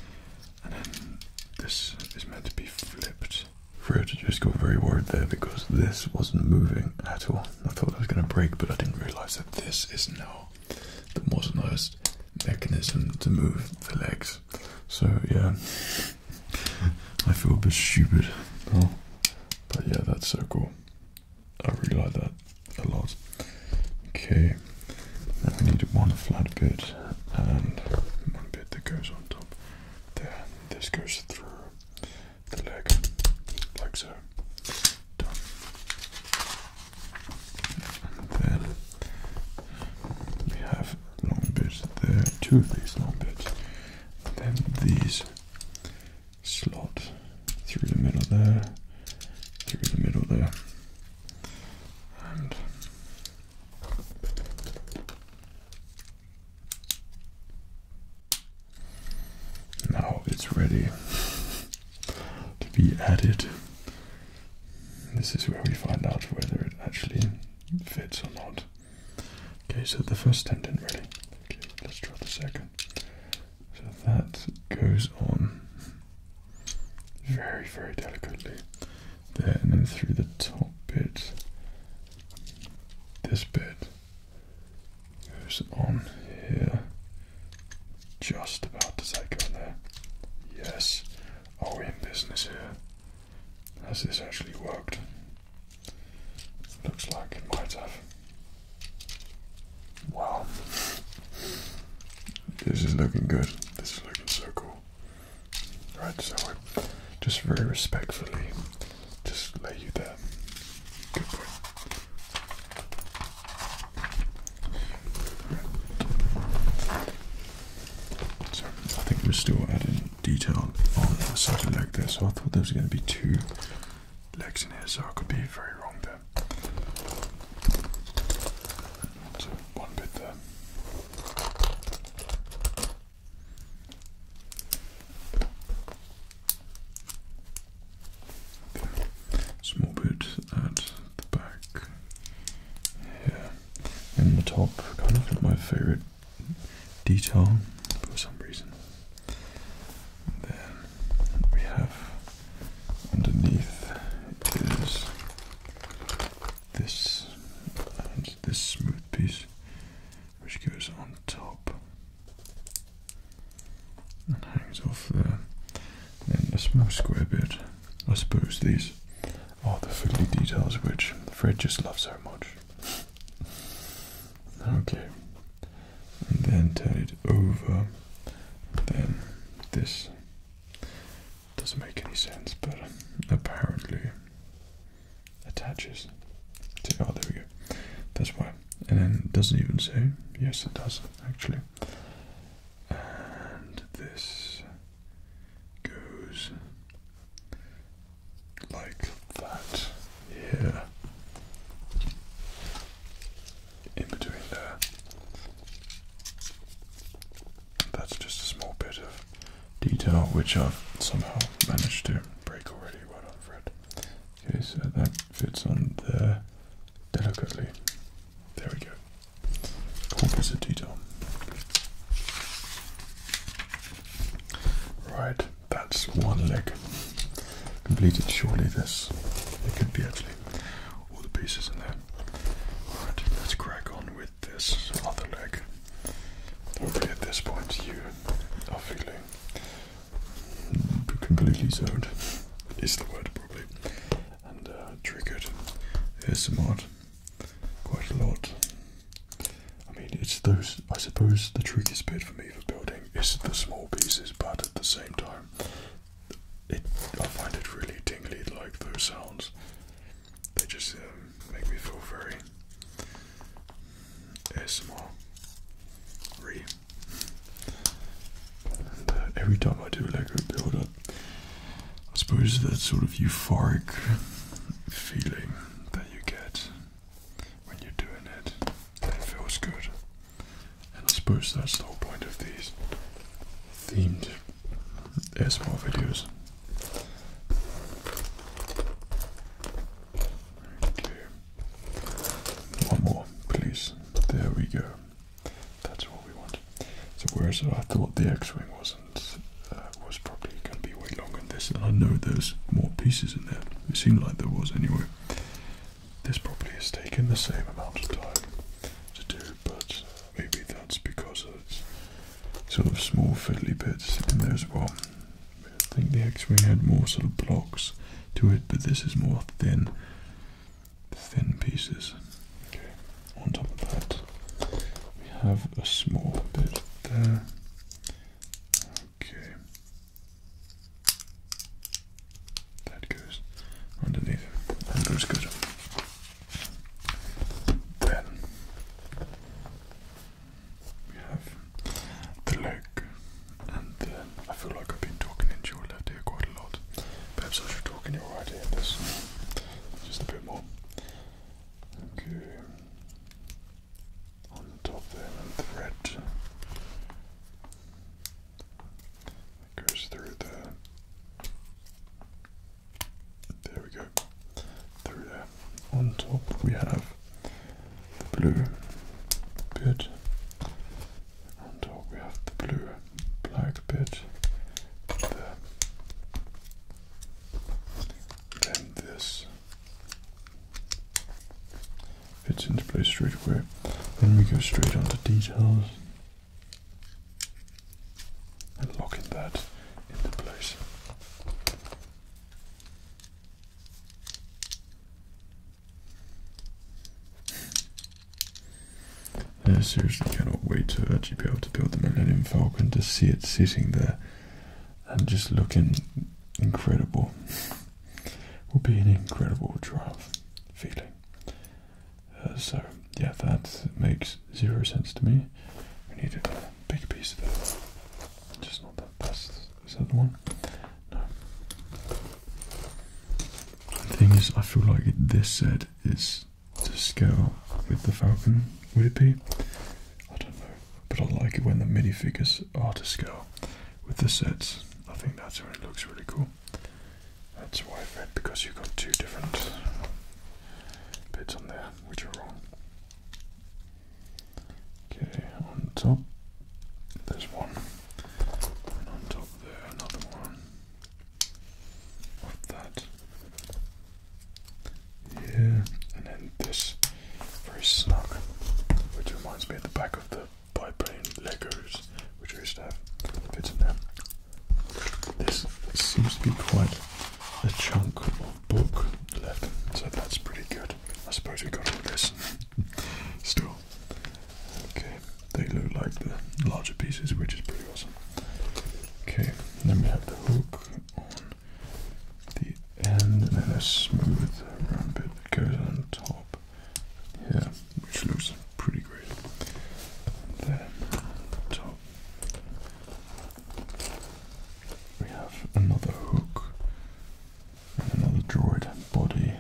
And then this is meant to be flipped. Fred just got very worried there because this wasn't moving at all. I thought it was going to break, but I didn't realize that this is now the modernized mechanism to move the legs. So yeah, I feel a bit stupid oh. but yeah, that's so cool. I really like that a lot. Okay, now we need one flat bit and one bit that goes on top. There, this goes through the leg, like so. Done then we have long bits there, two of these long bits. then these slot through the middle there, through the middle there. And now it's ready to be added this is where we find out whether it actually fits or not. Okay, so the first stem didn't really. Okay, let's try the second. So that goes on very, very delicately there, and then through the top bit, this bit goes on here. Just about does that there? Yes. Are oh, we in business here? Has this actually worked? Looks like it might have. Wow. This is looking good. This is looking so cool. Right, so I just very respectfully just lay you there. Good boy. So I think we're still adding detail on such a leg there. So I thought there was going to be two legs in here, so I could be very wrong there. So uh, one bit there. Small bit at the back here in the top, kind of my favourite detail for some reason. then we have underneath is this and this smooth piece which goes on top and hangs off there. Then a small square bit. I suppose these all the fiddly details which Fred just loves so much. okay, and then turn it over. Then this doesn't make any sense, but apparently attaches to. Oh, there we go. That's why. And then doesn't even say. Yes, it does actually and this goes like that here in between there. That's just a small bit of detail which I've somehow managed to break already. right, done, Fred. Okay, so that fits on there delicately. There we go. Cool piece detail. Right, that's one leg. Completed surely this. It could be actually all the pieces in there. Alright, let's crack on with this other leg. Hopefully at this point you are feeling completely zoned is the word probably and uh, triggered ASMR quite a lot. I mean, it's those. I suppose the trickiest bit for me for building is the small pieces, but at the same time, it I find it really tingly. Like those sounds, they just um, make me feel very small. Re. And uh, every time I do Lego build, I suppose that sort of euphoric feeling that you get when you're doing it, it feels good. And I suppose that's the whole point of these themed ASMR videos. Okay. One more, please. There we go. That's what we want. So whereas I thought the X-wing wasn't, uh, was probably going to be way longer than this, and I know there's more pieces in there. It seemed like there was anyway. This probably has taken the same amount of time to do, but uh, maybe that's because it's sort of small fiddly bits in there as well. I think the X-wing had more sort of blocks to it, but this is more thin, thin pieces on top of that we have a small bit there. Okay. That goes underneath and goes good. Then we have the leg and then I feel like I've been talking into your left quite a lot. Perhaps I should talk in your right this just a bit more. Okay. On top there and thread that goes through there. There we go. Through there. On top we have the blue bit. On top we have the blue black bit there. Then this fits into place straight away. Then we go straight on to details and locking that into place. I seriously cannot wait to actually be able to build the Millennium Falcon to see it sitting there and just looking incredible. Will be an incredible triumph feeling. Uh, so yeah, that makes zero sense to me. We needed a big piece of it. Just not that. That's is that the one? No. The thing is, I feel like this set is to scale with the Falcon, would it be? I don't know, but I like it when the minifigures are to scale with the sets. I think that's when it looks really cool. That's why I've because you've got two different bits on there which are wrong. Okay, on top there's one, and on top there another one of that here, and then this very snug, which reminds me of the back of the biplane Legos, which I used to have fits in there. This seems to be quite a chunk of book left, so that's pretty good. I suppose we got all this still. Okay, they look like the larger pieces, which is pretty awesome. Okay, then we have the hook on the end, and then a smooth round bit that goes on top here, which looks pretty great. And then top, we have another hook and another droid body.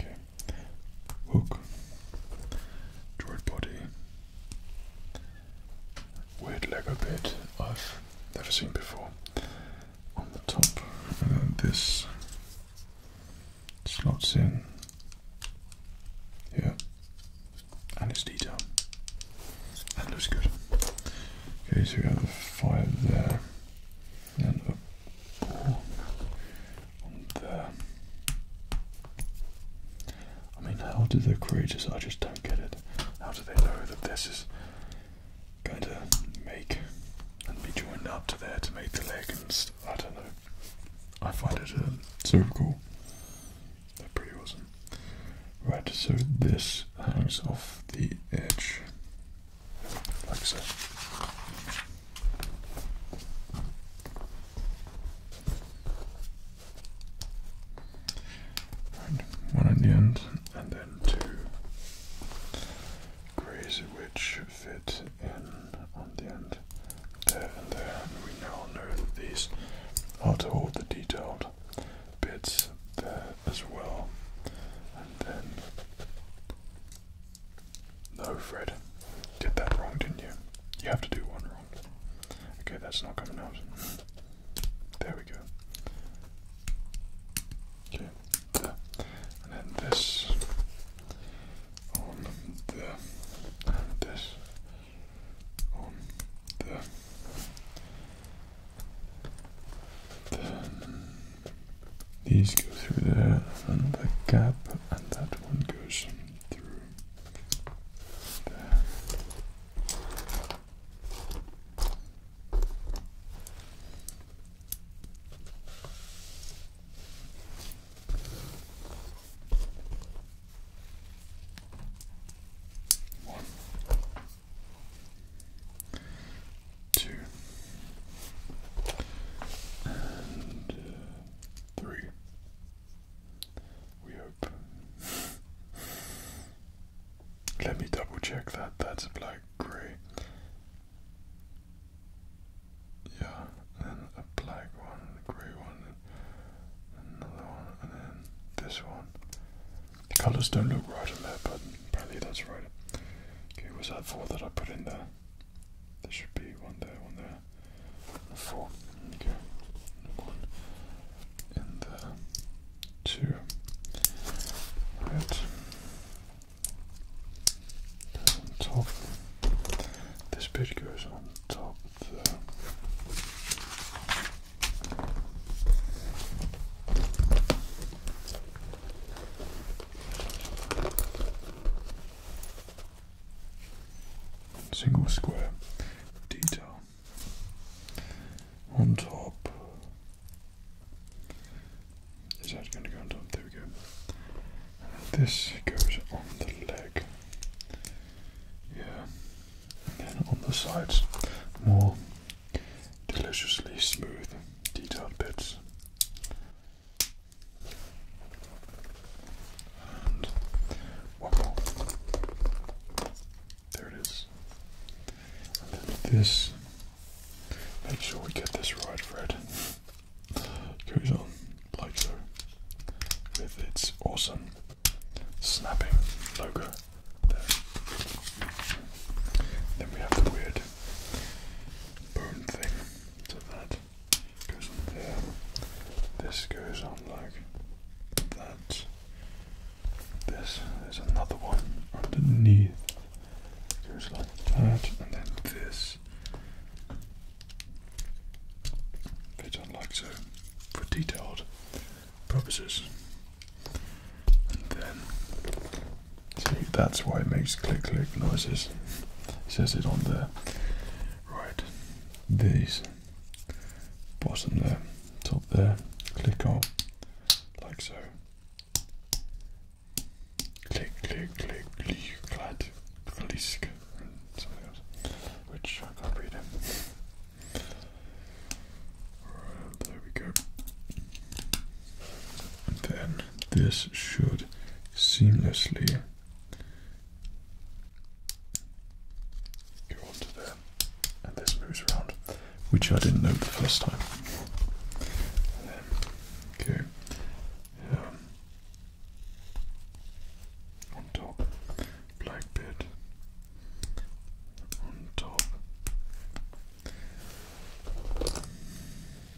Okay, hook, droid body, weird Lego bit I've never seen before on the top, and then this slots in Yeah, and it's detailed, that looks good. Okay, so we have the fire there, and a uh, I mean, how do the creators, I just don't get it, how do they know that this is going to make and be joined up to there to make the leg and st I don't know. I find it uh, super cool. They're pretty awesome. Right, so this hangs off the edge like so one in the end, and then two. Crazy Witch fit in on the end. There and there, we now know that these are to hold the detailed bits there as well. And then no, Fred. Did that wrong, didn't you? You have to do one wrong. Okay, that's not coming out. There we go. Okay, And then this. On there. this. On there. Then these go through there, and the gap, and that one goes through there. One, two, and uh, three. We hope. Let me double check that. That's black grey. Yeah, and then a black one, a grey one, another one, and then this one. The colours don't look right on there, but apparently that's right. Okay, was that four that I put in there? There should be one there, one there, four. one and two. Right. on top. This bit goes on top single square detail on top. Is that going to go on top? There we go. this goes on the leg. Yeah. And then on the sides, more deliciously smooth detailed bits. There it is. this. Make sure we get this right, Fred. Goes on like so with its awesome snapping logo there. Then we have the weird bone thing to that goes on there. This goes on like that. This, is another one underneath. It goes like that, and then this fits on like so for detailed purposes. And then, see, that's why it makes click click noises. It says it on there. Right, these bottom there, top there, click on like so. Click, click, click, click, clad, clisk, and something else, which I can't read. Right, there we go. And then this should seamlessly Go on there, and this moves around, which I didn't know the first time. Then go um, on top, black bit on top.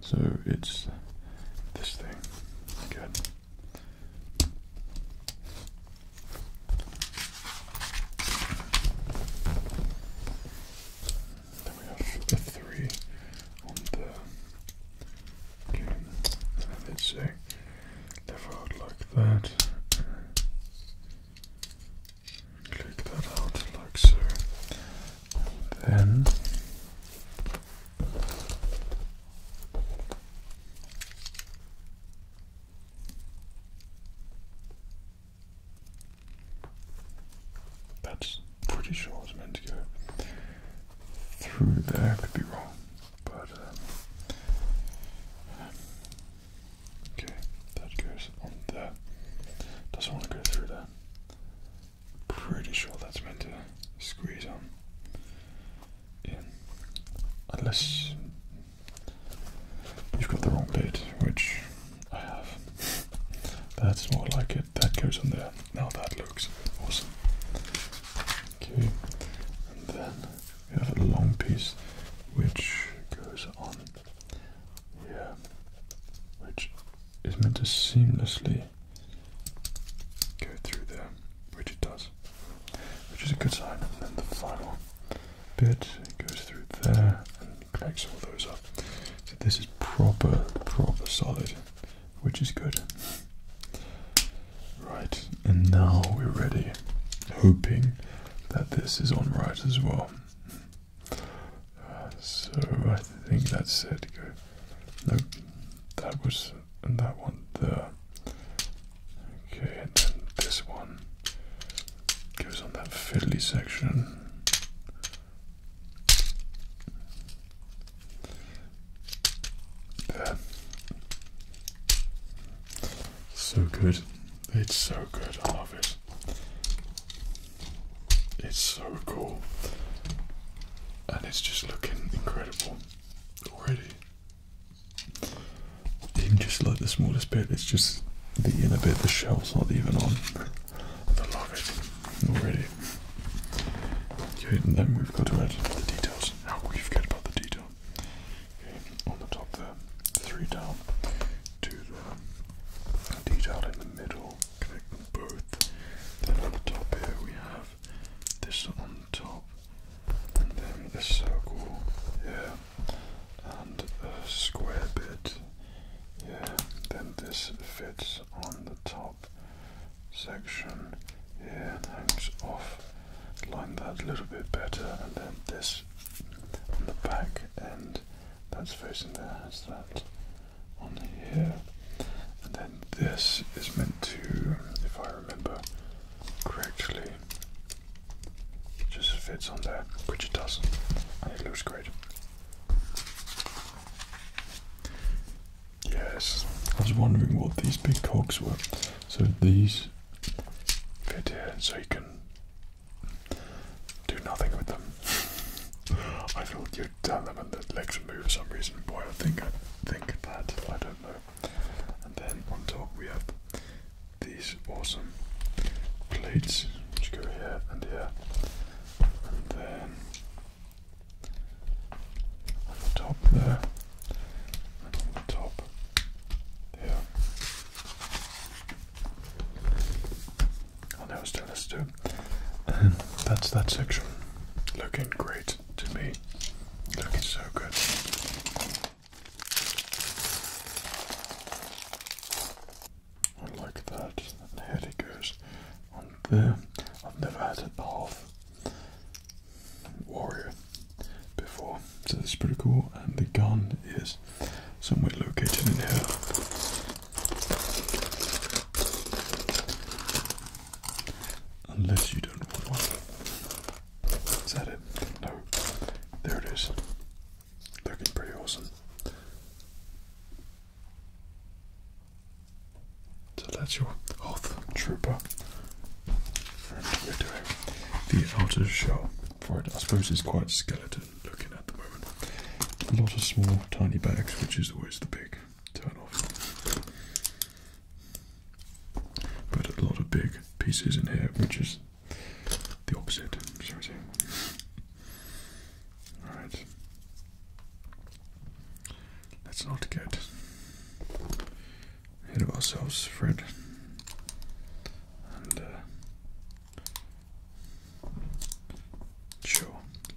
So it's this thing. Then we have the three on the game. And it's a lever out like that. Click that out like so. then that's pretty sure it's meant to go through there. Could be wrong, but um, okay, that goes on there. Doesn't want to go through there pretty sure that's meant to squeeze on in. Unless you've got the wrong bit, which I have. That's more like it. That goes on there. Now that looks awesome. Okay, and then we have a long piece which goes on here, which is meant to seamlessly go through there, which it does, which is a good sign. And then the final bit goes through there and connects all those up. So this is proper, proper solid, which is good. Right, and now we're ready, hoping that this is on right as well. Uh, so I think that's it. No, that was and that one there. Okay, and then this one goes on that fiddly section. So good. It's so good. I love it. It's so cool and it's just looking incredible already. Even just like the smallest bit, it's just the inner bit, the shell's not even on. I love it already. Okay, and then we've got to add the details. Now we have forget about the detail. Okay, on the top there, three down to the detail in the middle, connect both. Then on the top here we have this on top, and then a circle here, and a square bit here. Then this fits on the top section here and hangs off. Line that a little bit better, and then this on the back and that's facing there that on here, and then this is meant to, if I remember correctly, just fits on there, which it does, and it looks great. Yes, I was wondering what these big cogs were. So these fit here, so you can do nothing with them. I thought you tell them when the legs are for some reason. Boy, I think I think that I don't know. And then on top we have these awesome plates which go here and here. And then on the top there. on the top here. I oh, know it's still And that's that section. Looking great to me. Look, it's so good. I like that. And here it goes on there. I've never had it half warrior before, so this is pretty cool. And the gun is somewhere located in here. Unless you don't want one. Is that it? No. There it is. Looking pretty awesome. So that's your Hoth Trooper. the outer shell for it. I suppose it's quite skeleton looking at the moment. A lot of small, tiny bags, which is always the big turn off. But a lot of big pieces in here, which is the opposite, shall Alright. Let's not get ahead of ourselves, Fred. And, uh,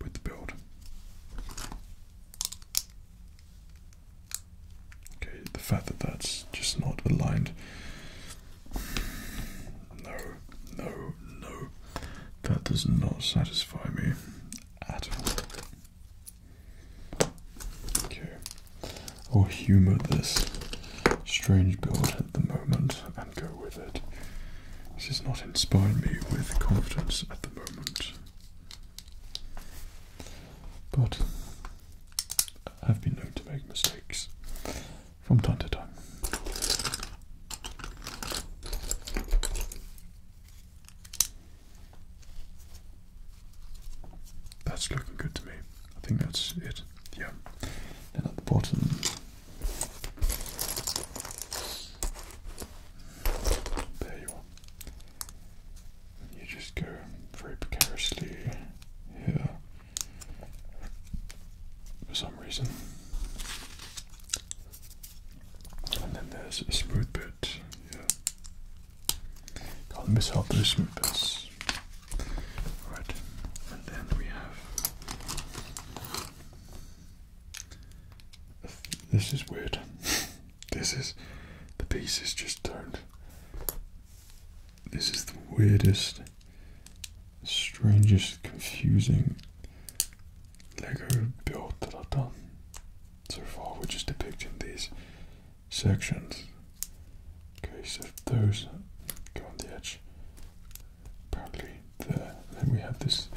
with the build. Okay, the fact that that's just not aligned. No, no, no. That does not satisfy me at all. Okay. i humour this strange build at the moment and go with it. This is not inspiring me with confidence at the moment. But I've been known to make mistakes from time to time. That's looking good to me. I think that's it. Yeah. Then at the bottom, there you are you just go very precariously here for some reason. And then there's a smooth bit here. Can't miss out those smooth bits. Right, and then we have. This is weird. This is the pieces just don't. This is the weirdest, strangest, confusing Lego build that I've done so far. We're just depicting these sections. Okay, so those go on the edge, apparently there. Then we have this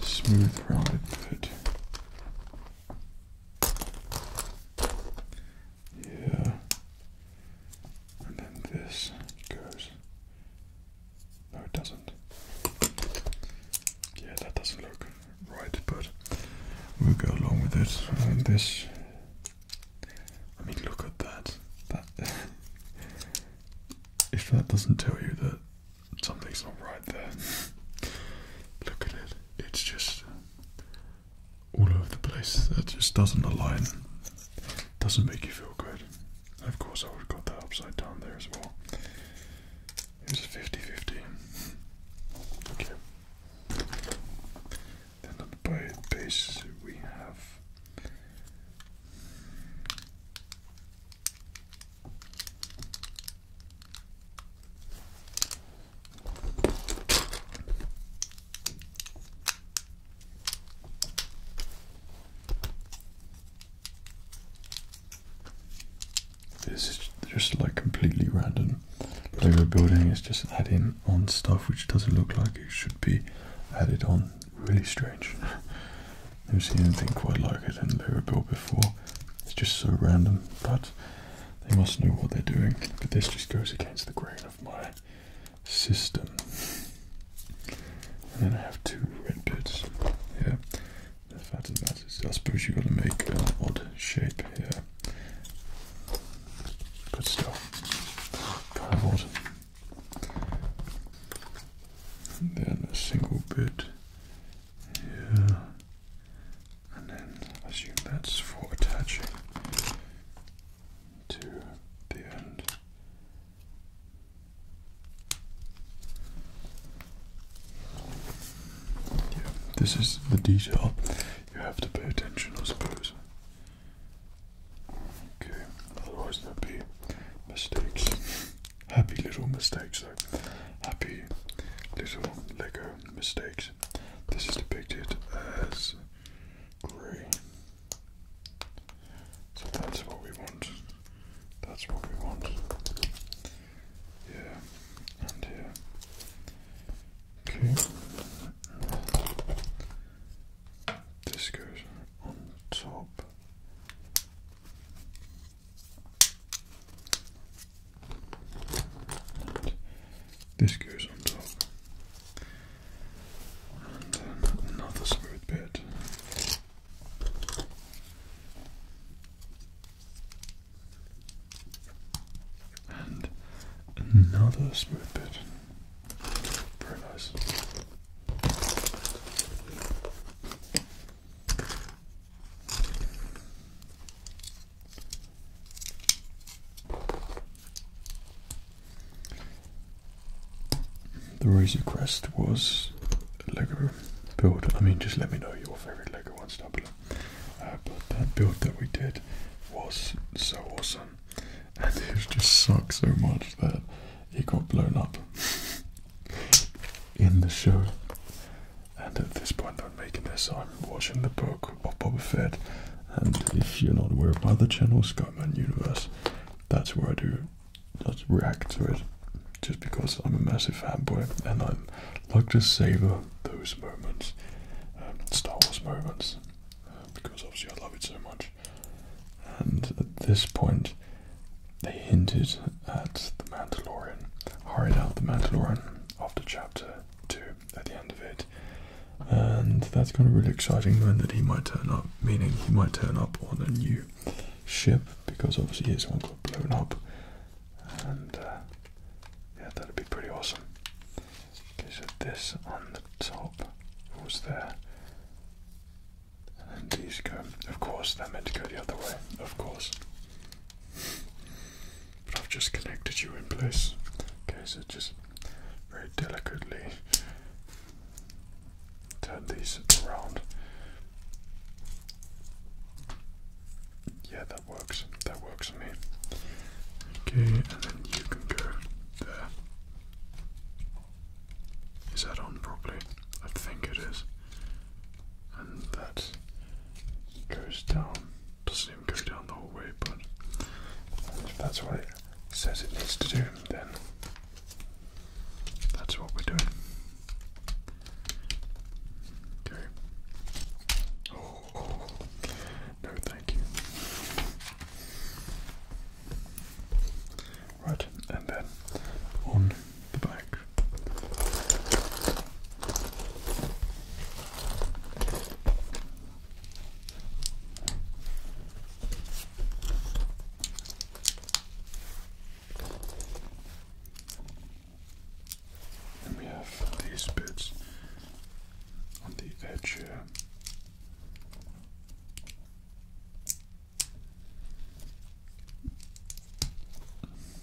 smooth ride that yeah. And then this goes. No, it doesn't. Yeah, that doesn't look right, but we'll go along with it. And this. I mean, look at that. That. if that doesn't tell you that something's not right there. Look at it. It's just all over the place. That just doesn't align. Doesn't make you feel good. Of course, I would have got that upside down there as well. It's was 50 50. Okay. Then on the base, we have. This is just like completely random. They Lego building is just adding on stuff which doesn't look like it should be added on. Really strange. Never seen anything quite like it in the build before. It's just so random, but they must know what they're doing, but this just goes against the grain of my system. And then I have two red bits here. The fact of that is, I suppose you got to make an odd shape here. Good stuff. Kind And then a single bit. Yeah and then I assume that's for attaching to the end. Yeah, this is the detail you have to pay attention, I suppose. Okay, otherwise there'll be mistakes. Happy little mistakes, though. Happy little Lego mistakes. This is depicted as grey. So that's what we want. That's what we want. Yeah, and here. Okay. This goes on top. This goes on top. And another smooth bit. And another smooth bit. Very nice. The Rosy Crest was a Lego build. I mean, just let me know your favourite Lego ones down uh, but that build that we did was so awesome, and it just sucked so much that it got blown up in the show. And at this point I'm making this, I'm watching the book of Boba Fett. And if you're not aware of the other channel, Skyman Universe, that's where I do react to it. Just because I'm a massive fanboy and I like to savor those moments, um, Star Wars moments, um, because obviously I love it so much. And at this point, they hinted at the Mandalorian, hired out the Mandalorian after J chapter two at the end of it, and that's kind of really exciting. Knowing that he might turn up, meaning he might turn up on a new ship because obviously his one got blown up, and uh, yeah, that'd be pretty awesome. Okay, so this on the top was there. And these go, of course, they're meant to go the other way, of course. But I've just connected you in place. Okay, so just very delicately turn these around. Yeah, that works. That works for me. Okay, and then you can go there. Is that on properly? I think it is. And that goes down doesn't even go down the hallway, but if that's what it says it needs to do, then that's what we're doing. Okay. Oh, oh, oh. no, thank you. Right, and then on the back. And we have these bits on the edge here.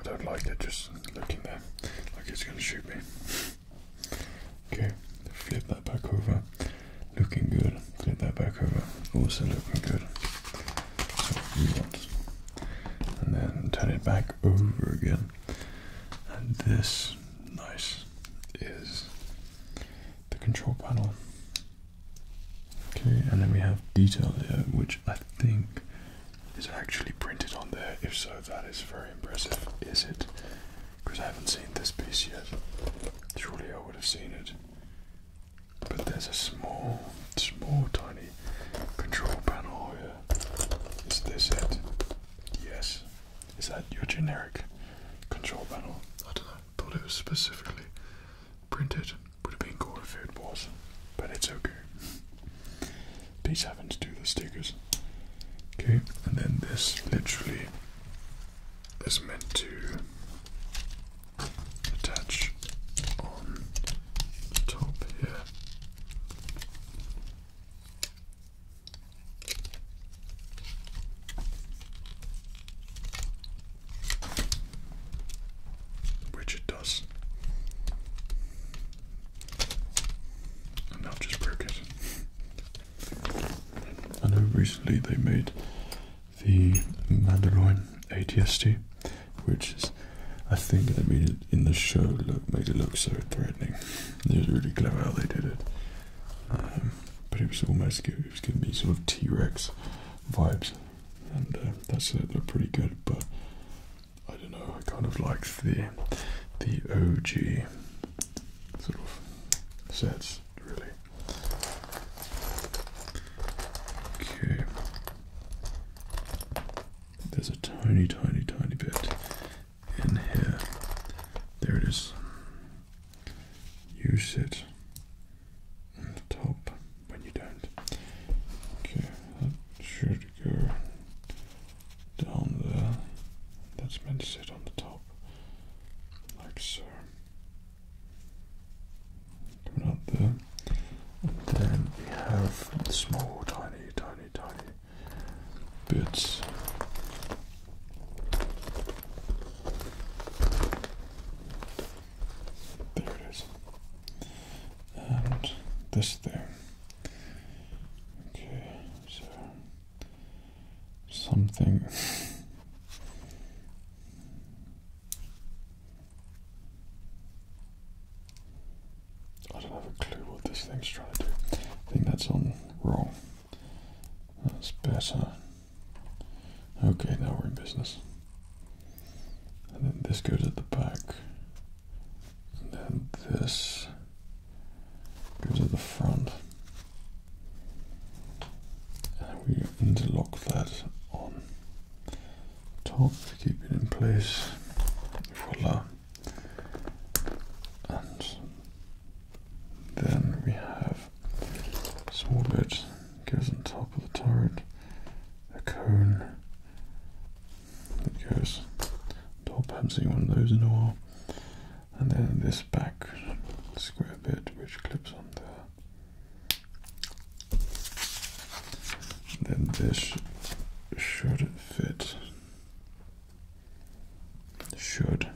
I don't like it just looking there like it's going to shoot me. Okay, flip that back over. Looking good. Flip that back over. Also looking good. And then turn it back over again. And this, nice, is the control panel. Okay, and then we have detail here, which I think is actually printed on there. If so, that is very impressive, is it? Because I haven't seen this piece yet. Surely I would have seen it. But there's a small, small, tiny control panel here. Is this it? Yes. Is that your generic control panel? I don't know. Thought it was specifically printed. Would have been cool if it was, but it's okay. These happen to do the stickers. Okay, and then this literally is meant to attach on the top here. Which it does. And now just broke it. I know recently they made the Mandarin ATST which is I think that made it in the show look made it look so threatening. It was really clever how they did it. Um, but it was almost it was giving me sort of T Rex vibes, and that's uh, that looked pretty good. But I don't know. I kind of like the the OG sort of sets really. Okay. There's a tiny, tiny, tiny bit in here. There it is. You sit on the top when you don't. Okay, that should go down there. That's meant to sit on the top, like so. Coming up there. then we have small, tiny tiny, tiny, bits. There it is. And this there. Okay, so something. I don't have a clue what this thing's trying to do. I think that's on wrong. That's better. Okay, now we're in business. then this goes at the back. then this goes at the front. And we lock that on top to keep it in place. Voila. And then we have a small bit goes on top of the turret, a cone that goes top. I haven't seen one of those in a while. And then this back square bit which clips on there. then this should it fit. Should.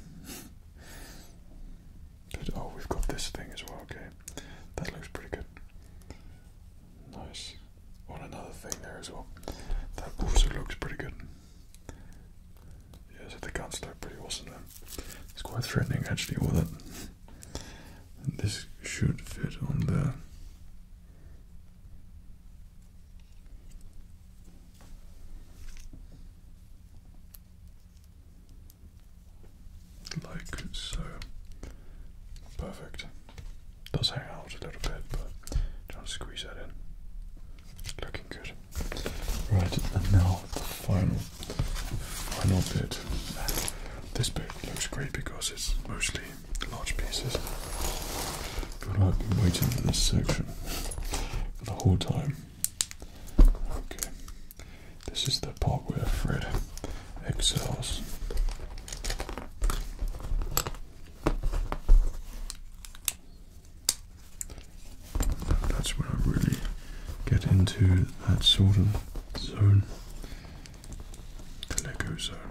oh, we've got this thing as well, okay. That looks pretty good. Nice. On another thing there as well. That also looks pretty good. Yeah, so the guns look pretty awesome then. It's quite threatening actually, with it. this should fit on there like so. Perfect. Does hang out a little bit, but trying to squeeze that in. Looking good. Right, and now the final, final bit. This bit looks great because it's mostly large pieces. But I've been waiting for this section for the whole time. Okay, this is the part where Fred excels. That's where I really get into that sort of zone, Lego zone.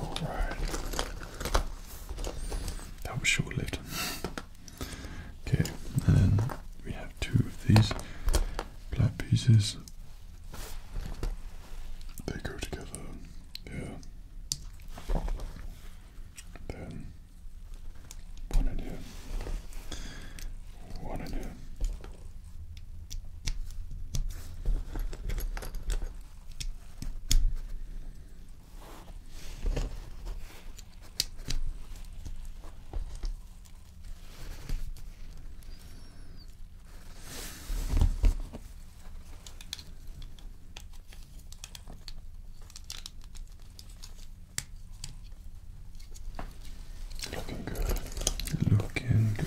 All right. That was short-lived. Okay, and then we have two of these flat pieces. They go together here, then one in here, one in here. Looking good. Looking good.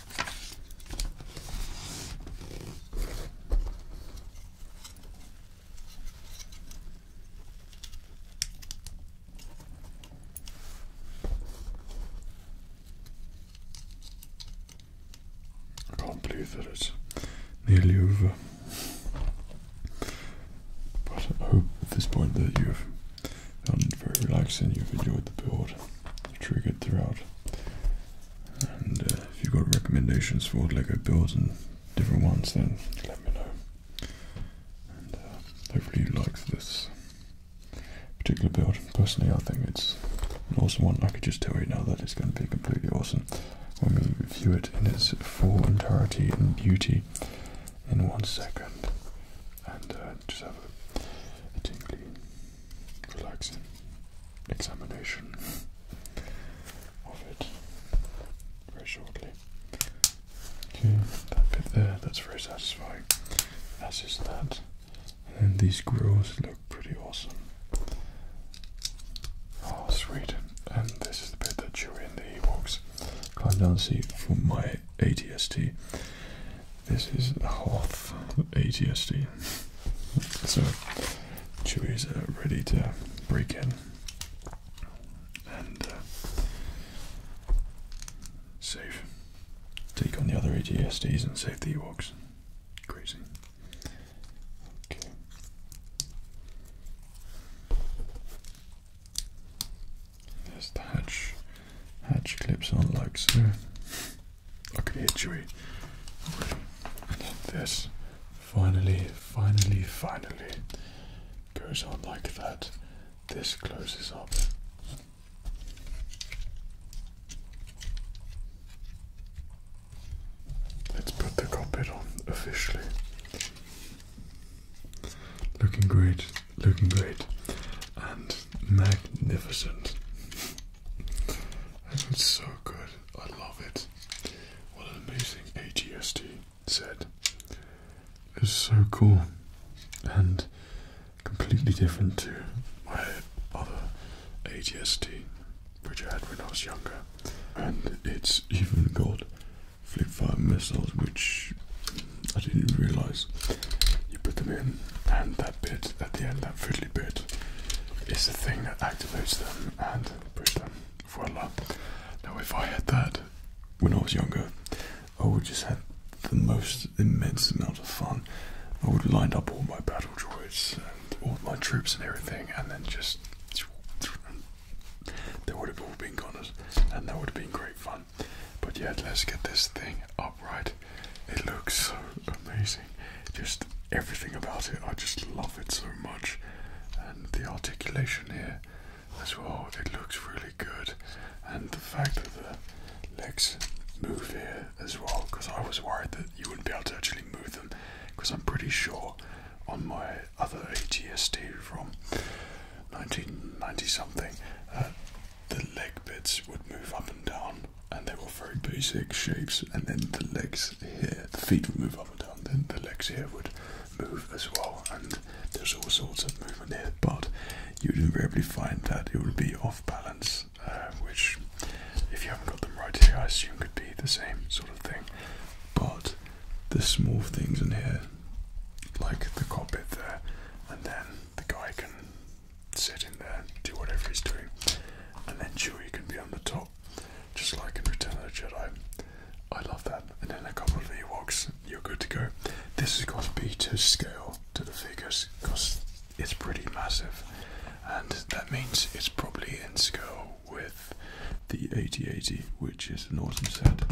I can't believe that it's nearly over. But I hope at this point that you've found it very relaxing, you've enjoyed the build, triggered throughout, and uh, if you've got recommendations for Lego builds and different ones, then let me know. Uh, hopefully you like this particular build. Personally, I think it's an awesome one. I could just tell you now that it's going to be completely awesome when we view it in its full entirety and beauty in one second. And uh, just have a tingly, relaxing examination of it very shortly. Okay, that bit there, that's very satisfying, as is that. And these grooves look pretty awesome. Oh, sweet. And this is the bit that you read in the e Ewoks climb down the seat for my ATST. This is the Hoth ATSD. So Chewie's uh, ready to break in and uh, save. Take on the other ATSDs and save the Ewoks. Crazy. Okay. There's the hatch. Hatch clips on like so. Okay, Chewy. And then this finally, finally, finally goes on like that. This closes up. Let's put the carpet on officially. Looking great, looking great, and magnificent. It's so good. I love it. What an amazing AGST set. It's so cool and completely different to my other AGST which I had when I was younger. And it's even got flip fire missiles which I didn't even realise. You put them in and they bit at the end, that fiddly bit, is the thing that activates them and pushes them. Voila. Now, if I had that when I was younger, I would just have the most immense amount of fun. I would line up all my battle droids and all my troops and everything, and then just. They would have all been gunners, and that would have been great fun. But yeah, let's get this thing up. Right, It looks so amazing. Just everything about it, I just love it so much. And the articulation here as well, it looks really good. And the fact that the legs move here as well, because I was worried that you wouldn't be able to actually move them, because I'm pretty sure on my other ATST from 1990 something, uh, the leg bits would move up and down and they were very basic shapes. And then the legs here, the feet would move up and down. Then the legs here would move as well. And there's all sorts of movement here, but you'd invariably find that it would be off balance, uh, which, if you haven't got them right here, I assume could be the same sort of thing. But the small things in here, like the cockpit there, and then the guy can sit in there, do whatever he's doing, and then Chewie can be on the top, just like in Return of the Jedi. I love that. And then a couple of Ewoks, you're good to go. This has got to be to scale to the figures because it's pretty massive, and that means it's probably in scale with the 8080, which is an awesome set.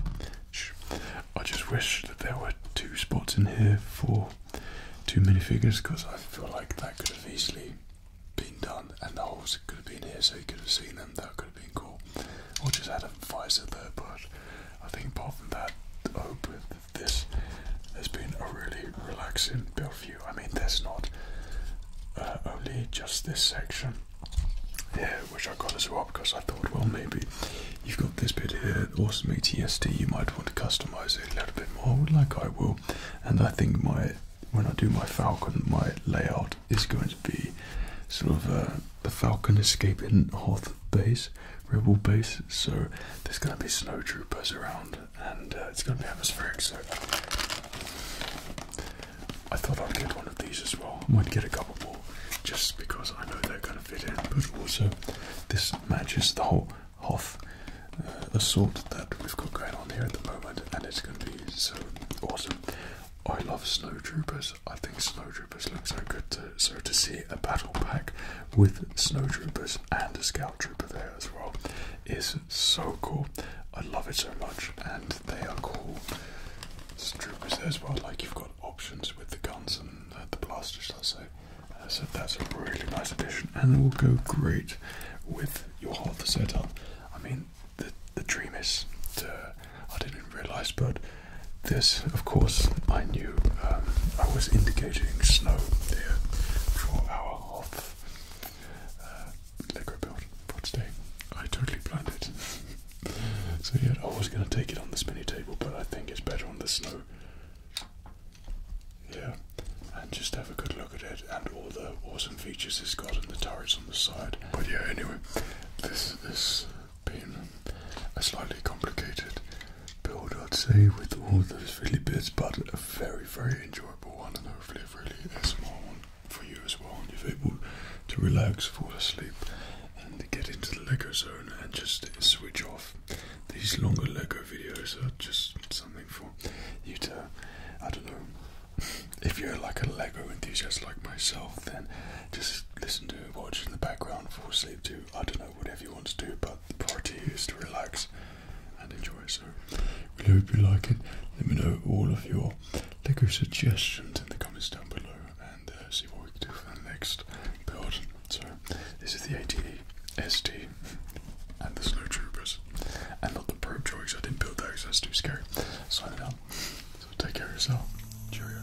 I just wish that there were two spots in here for two minifigures because I feel like that could have easily been done and the holes could have been here so you could have seen them. That could have been cool. Or just had a visor there, but I think apart from that, oh, with this has been a really relaxing build view. I mean, there's not uh, only just this section here, which I got as well because I thought, well, maybe you've got this bit here, awesome ATSD, you might want to customize it a little bit more, I would like I will. And I think my when I do my Falcon, my layout is going to be sort of uh, the Falcon escaping Hoth base, Rebel base. So there's going to be snow troopers around, and uh, it's going to be atmospheric. So I thought I'd get one of these as well. I might get a couple more, just because I know they're going to fit in. But also, this matches the whole Hoth uh, assault that we've got going on here at the moment, and it's going to be so awesome. I love snowtroopers. I think snowtroopers look so good. so to see a battle pack with snowtroopers and a scout trooper there as well is so cool. I love it so much, and they are cool troopers there as well. Like you've got options with the guns and uh, the blasters, let's say. Uh, so that's a really nice addition, and it will go great with your whole setup. I mean, the the dream is uh, I didn't realise, but this, of course, I knew. Um, I was indicating snow there for our half uh, Lego build for today. I totally planned it. so yeah, I was going to take it on this mini table, but I think it's better on the snow. Yeah, and just have a good look at it and all the awesome features it's got and the turrets on the side. But yeah, anyway, this has been a slightly complicated build, I'd say, with all those fiddly bits, but a very, very enjoyable one and hopefully a really small one for you as well. And you're able to relax, fall asleep, and get into the Lego zone and just switch off. These longer Lego videos are just something for you to, I don't know, if you're like a Lego enthusiast like myself, then just listen to watch in the background, for sleep too. I don't know, whatever you want to do, but the priority is to relax and enjoy. So, really hope you like it. Let me know all of your Lego suggestions in the comments down below and uh, see what we can do for the next build. So, this is the ATE ST Harry and the Snowtroopers. And not the probe jokes, I didn't build those, that's too scary. Sign it up. So take care of yourself. Cheerio.